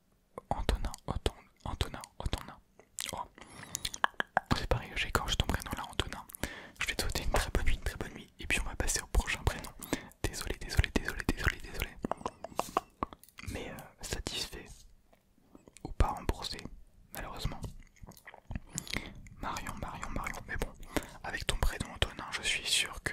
Antonin, Antonin, Antonin, Antonin. Oh. C'est pareil, j'écorche ton prénom là, Antonin. Je vais te souhaiter une très bonne nuit, une très bonne nuit. Et puis on va passer au prochain prénom. Désolé, désolé, désolé, désolé, désolé. Mais euh, satisfait ou pas remboursé, malheureusement. Marion, Marion, Marion. Mais bon, avec ton prénom Antonin, je suis sûr que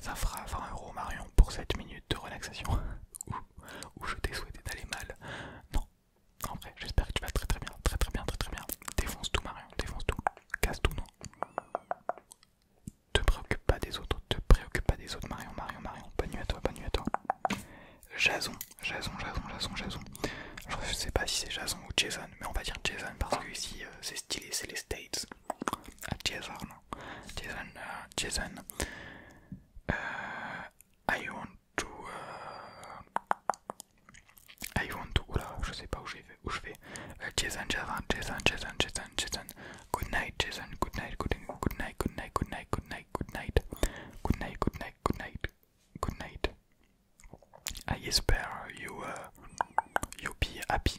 Ça fera 20 euros Marion pour cette minutes de relaxation. où je t'ai souhaité d'aller mal. Non, en vrai, j'espère que tu vas très très bien, très très bien, très très bien. Défonce tout Marion, défonce tout, casse tout, non. Te préoccupe pas des autres, te préoccupe pas des autres Marion, Marion, Marion. Pas nu à toi, pas nu à toi. Jason, Jason, Jason, Jason, Jason. Je sais pas si c'est Jason ou Jason, mais on va dire Jason parce que ici euh, c'est stylé, c'est les States. Jason, Jason, euh, Jason. Euh, I want to, euh, I want to, je sais pas où, où je vais, uh, Jason, Jason, Jason, Jason, Jason, Jason, good night, Jason, good night, good night, good night, good night, good night, good night, good night, good night, good night, good night, I hope you, uh, you be happy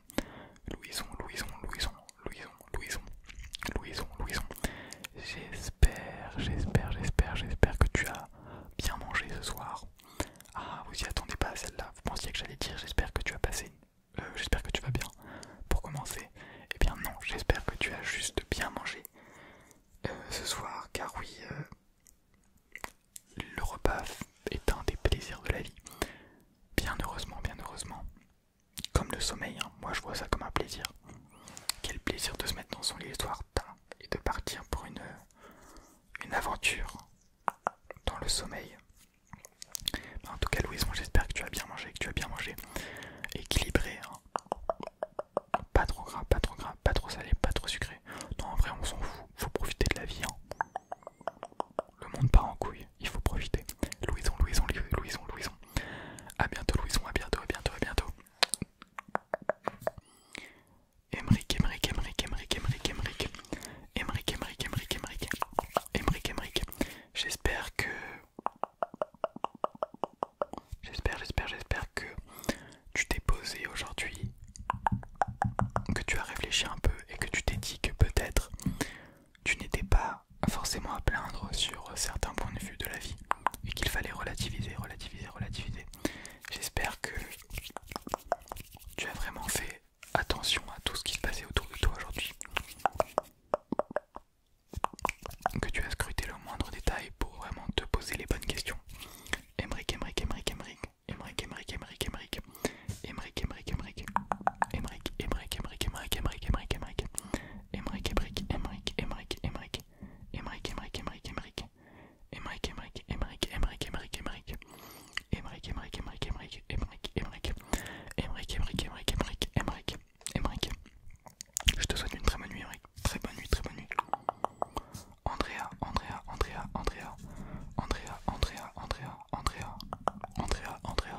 Louison, Louison, Louison, Louison, Louison, Louison, Louison. J'espère, j'espère, j'espère, j'espère que tu as bien mangé ce soir. Ah, vous y attendez pas à celle-là. Vous pensiez que j'allais dire j'espère que tu as passé. Euh, j'espère que tu vas bien. Pour commencer, eh bien non, j'espère que tu as juste bien mangé euh, ce soir, car oui, euh, le repas est un des plaisirs de la vie. Bien heureusement, bien heureusement, comme le sommeil, hein. moi je vois ça comme un plaisir. Quel plaisir de se mettre dans son lit le soir et de partir pour une, euh, une aventure dans le sommeil. Bah, en tout cas, Louise, moi j'espère que tu as bien mangé, que tu as bien mangé. Équilibré, hein. pas trop gras, pas trop gras, pas trop salé, pas trop sucré. Non, en vrai, on s'en fout, faut profiter de la vie. Hein. Le monde part en couille il faut profiter. Louison, Louison, Louison, Louison. A bientôt, Louison, à bientôt, à bientôt, à bientôt. Emric, Emric, Emric, Emric, Emric, Emric. Emric, Emric, Emric, Emric. Emric, Emric. J'espère que. J'espère, j'espère, j'espère que tu t'es posé aujourd'hui, que tu as réfléchi un peu et que tu t'es dit que peut-être tu n'étais pas forcément à plaindre sur certains points de vue de la vie et qu'il fallait relativiser, relativiser, relativiser. J'espère que tu as vraiment fait attention à tout ce qui se passait autour de toi aujourd'hui. Que tu as scruté le moindre détail pour vraiment te poser les bonnes questions. Emric, je te souhaite une très bonne nuit, Très bonne nuit, très bonne nuit. Andrea, Andrea, Andrea, Andrea, Andrea, Andrea, Andrea, Andrea, Andrea, Andrea,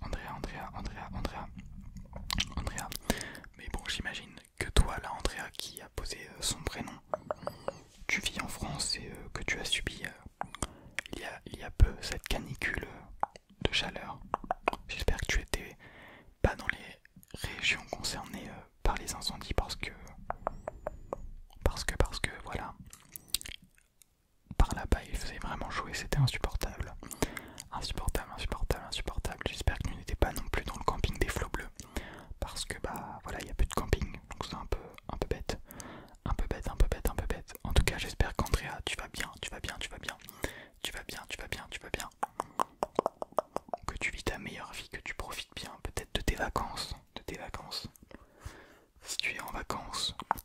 Andrea, Andrea, Andrea, Andrea, Andrea. Mais bon, j'imagine que toi, là, Andrea, qui a posé euh, son prénom, tu vis en France et euh, que tu as subi euh, il, y a, peu cette canicule de chaleur. J'espère que tu étais pas dans les régions concernées par les incendies parce que, parce que, parce que, voilà par là-bas, il faisait vraiment chaud c'était insupportable. Insupportable, insupportable, insupportable. J'espère que nous n'étions pas non plus dans le camping des flots bleus. Parce que bah voilà, il n'y a plus de camping, donc c'est un peu, un peu bête. Un peu bête, un peu bête, un peu bête. En tout cas, j'espère qu'Andrea, tu vas bien, tu vas bien, tu vas bien. Tu vas bien, tu vas bien, tu vas bien. Que tu vis ta meilleure vie, que tu profites bien peut-être de tes vacances. De tes vacances. Si tu es en vacances,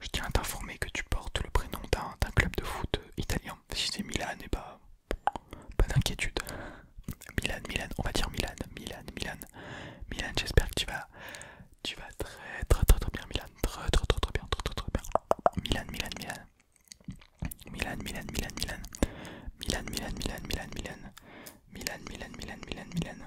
je tiens à t'informer que tu portes le prénom d'un club de foot italien. Si c'est Milan, et bah, pas d'inquiétude. Milan, Milan, on va dire Milan, Milan, Milan. Milan, j'espère que tu vas, tu vas très, très, très, très bien, Milan, très, très, très, très bien, très, très, très bien. Milan, Milan, Milan. Milan, Milan, Milan, Milan. Milan, Milan, Milan, Milan, Milan. Milan, Milan, Milan, Milan, Milan.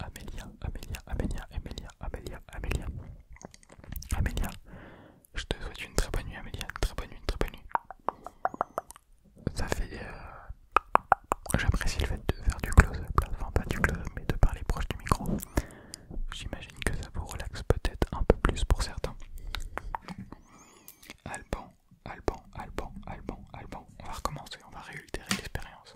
Amélia, Amélia, Amélia, Amélia, Amélia, Amélia. Amélia, je te souhaite une très bonne nuit, Amélia, très bonne nuit, très bonne nuit. Ça fait. Euh, j'apprécie le fait de faire du close-up, enfin pas du close-up, mais de parler proche du micro. J'imagine que ça vous relaxe peut-être un peu plus pour certains. Alban, Alban, Alban, Alban, Alban. On va recommencer, on va réultérer l'expérience.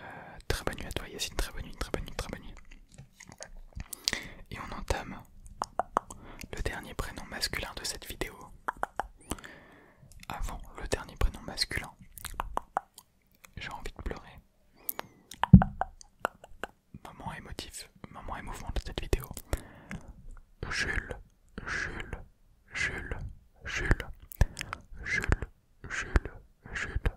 Euh, très bonne nuit à toi Yacine, très bonne nuit, très bonne nuit, très bonne nuit. Et on entame le dernier prénom masculin de cette vidéo. Avant le dernier prénom masculin, j'ai envie de pleurer. Moment émotif, moment émouvant de cette vidéo. Jules, Jules, Jules, Jules, Jules, Jules, Jules,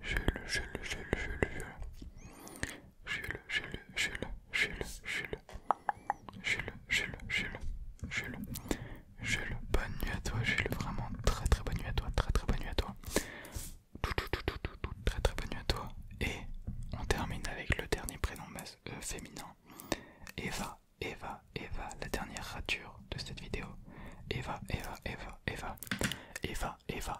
je le, je le, je le, je le, je le, je le, je le, bonne nuit à toi, je vraiment très très bonne nuit à toi, très très bonne nuit à toi, tout tout tout tout très très bonne nuit à toi, et on termine avec le dernier prénom euh, féminin, Eva, Eva, Eva, la dernière rature de cette vidéo, Eva, Eva, Eva, Eva, Eva, Eva,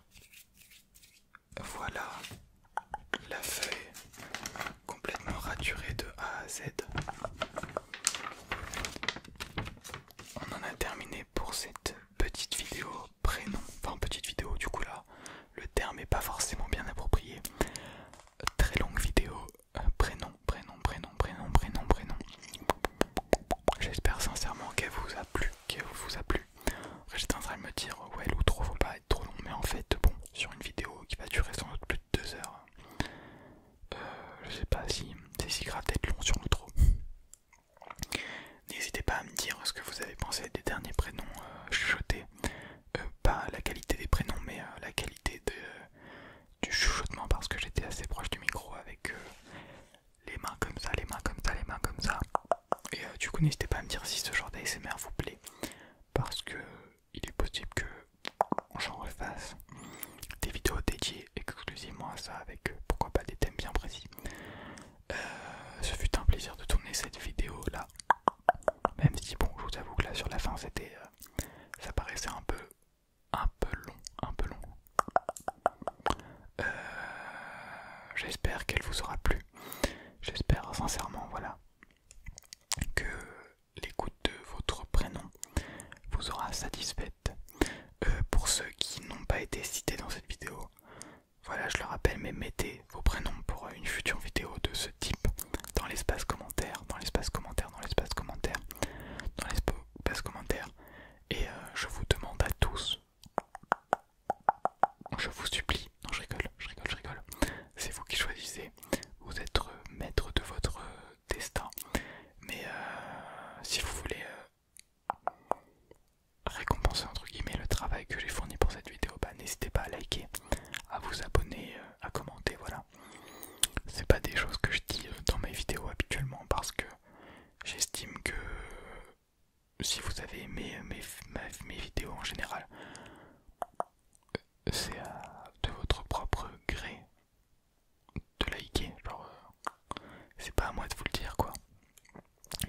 Voilà la feuille complètement raturée de A à Z. On en a terminé pour cette petite vidéo prénom. Enfin petite vidéo du coup là, le terme est pas forcément bien approprié. Très longue vidéo. Euh, prénom, prénom, prénom, prénom, prénom, prénom. J'espère sincèrement qu'elle vous a plu qui vous a plu. j'étais en train de me dire ouais l'outro faut pas être trop long mais en fait bon sur une vidéo qui va durer sans doute plus de 2 heures euh, je sais pas si c'est si grave d'être long sur l'outro. N'hésitez pas à me dire ce que vous avez pensé des derniers prénoms euh, chuchotés. Euh, pas la qualité des prénoms mais la qualité de, du chuchotement parce que j'étais assez proche du micro avec les mains comme ça, les mains comme ça, les mains comme ça. Et euh, du coup, n'hésitez pas à me dire si ce genre d'ASMR vous plaît, parce que il est possible que j'en refasse des vidéos dédiées exclusivement à ça, avec euh, pourquoi pas des thèmes bien précis. Euh, ce fut un plaisir de tourner cette vidéo là, même si bon, je vous avoue que là sur la fin, c'était, ça paraissait un peu, un peu long, un peu long. Euh, j'espère qu'elle vous aura plu. J'espère sincèrement, voilà, que l'écoute de votre prénom vous aura satisfaite. Euh, pour ceux qui n'ont pas été cités dans cette vidéo, voilà, je le rappelle, mais mettez vos prénoms pour une future vidéo de ce type dans l'espace commentaire, dans l'espace commentaire, dans l'espace commentaire, dans l'espace commentaire. Et euh, je vous demande à tous je vous supplie, non je rigole, je rigole, je rigole. C'est vous qui choisissez, vous êtes euh, maître de votre euh, destin. Mais euh, si vous voulez récompenser entre guillemets le travail que j'ai fourni pour cette vidéo, bah, n'hésitez pas à liker, à vous abonner, à commenter, voilà. C'est pas des choses que je dis dans mes vidéos habituellement parce que j'estime que si vous avez aimé euh, mes, vidéos en général, euh, c'est de votre propre gré de liker. Genre, euh, c'est pas à moi de vous le dire quoi.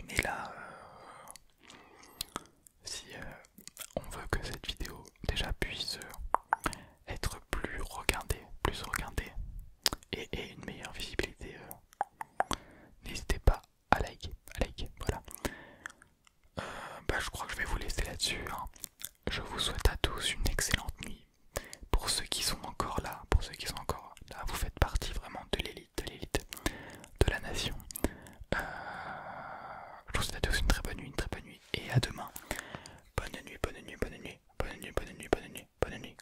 Mais là, si on veut que cette vidéo déjà puisse être plus regardée, plus regardée et, une meilleure visibilité. N'hésitez pas à liker, à liker, voilà. Euh, bah, je crois que je vais vous laisser là-dessus. Hein. Je vous souhaite à tous une excellente nuit. Pour ceux qui sont encore là, pour ceux qui sont encore là, vous faites partie vraiment de l'élite, de l'élite, de la nation. Euh, je vous souhaite à tous une très bonne nuit, une très bonne nuit, et à demain. bonne nuit, bonne nuit, bonne nuit, bonne nuit, bonne nuit, bonne nuit. Bonne nuit.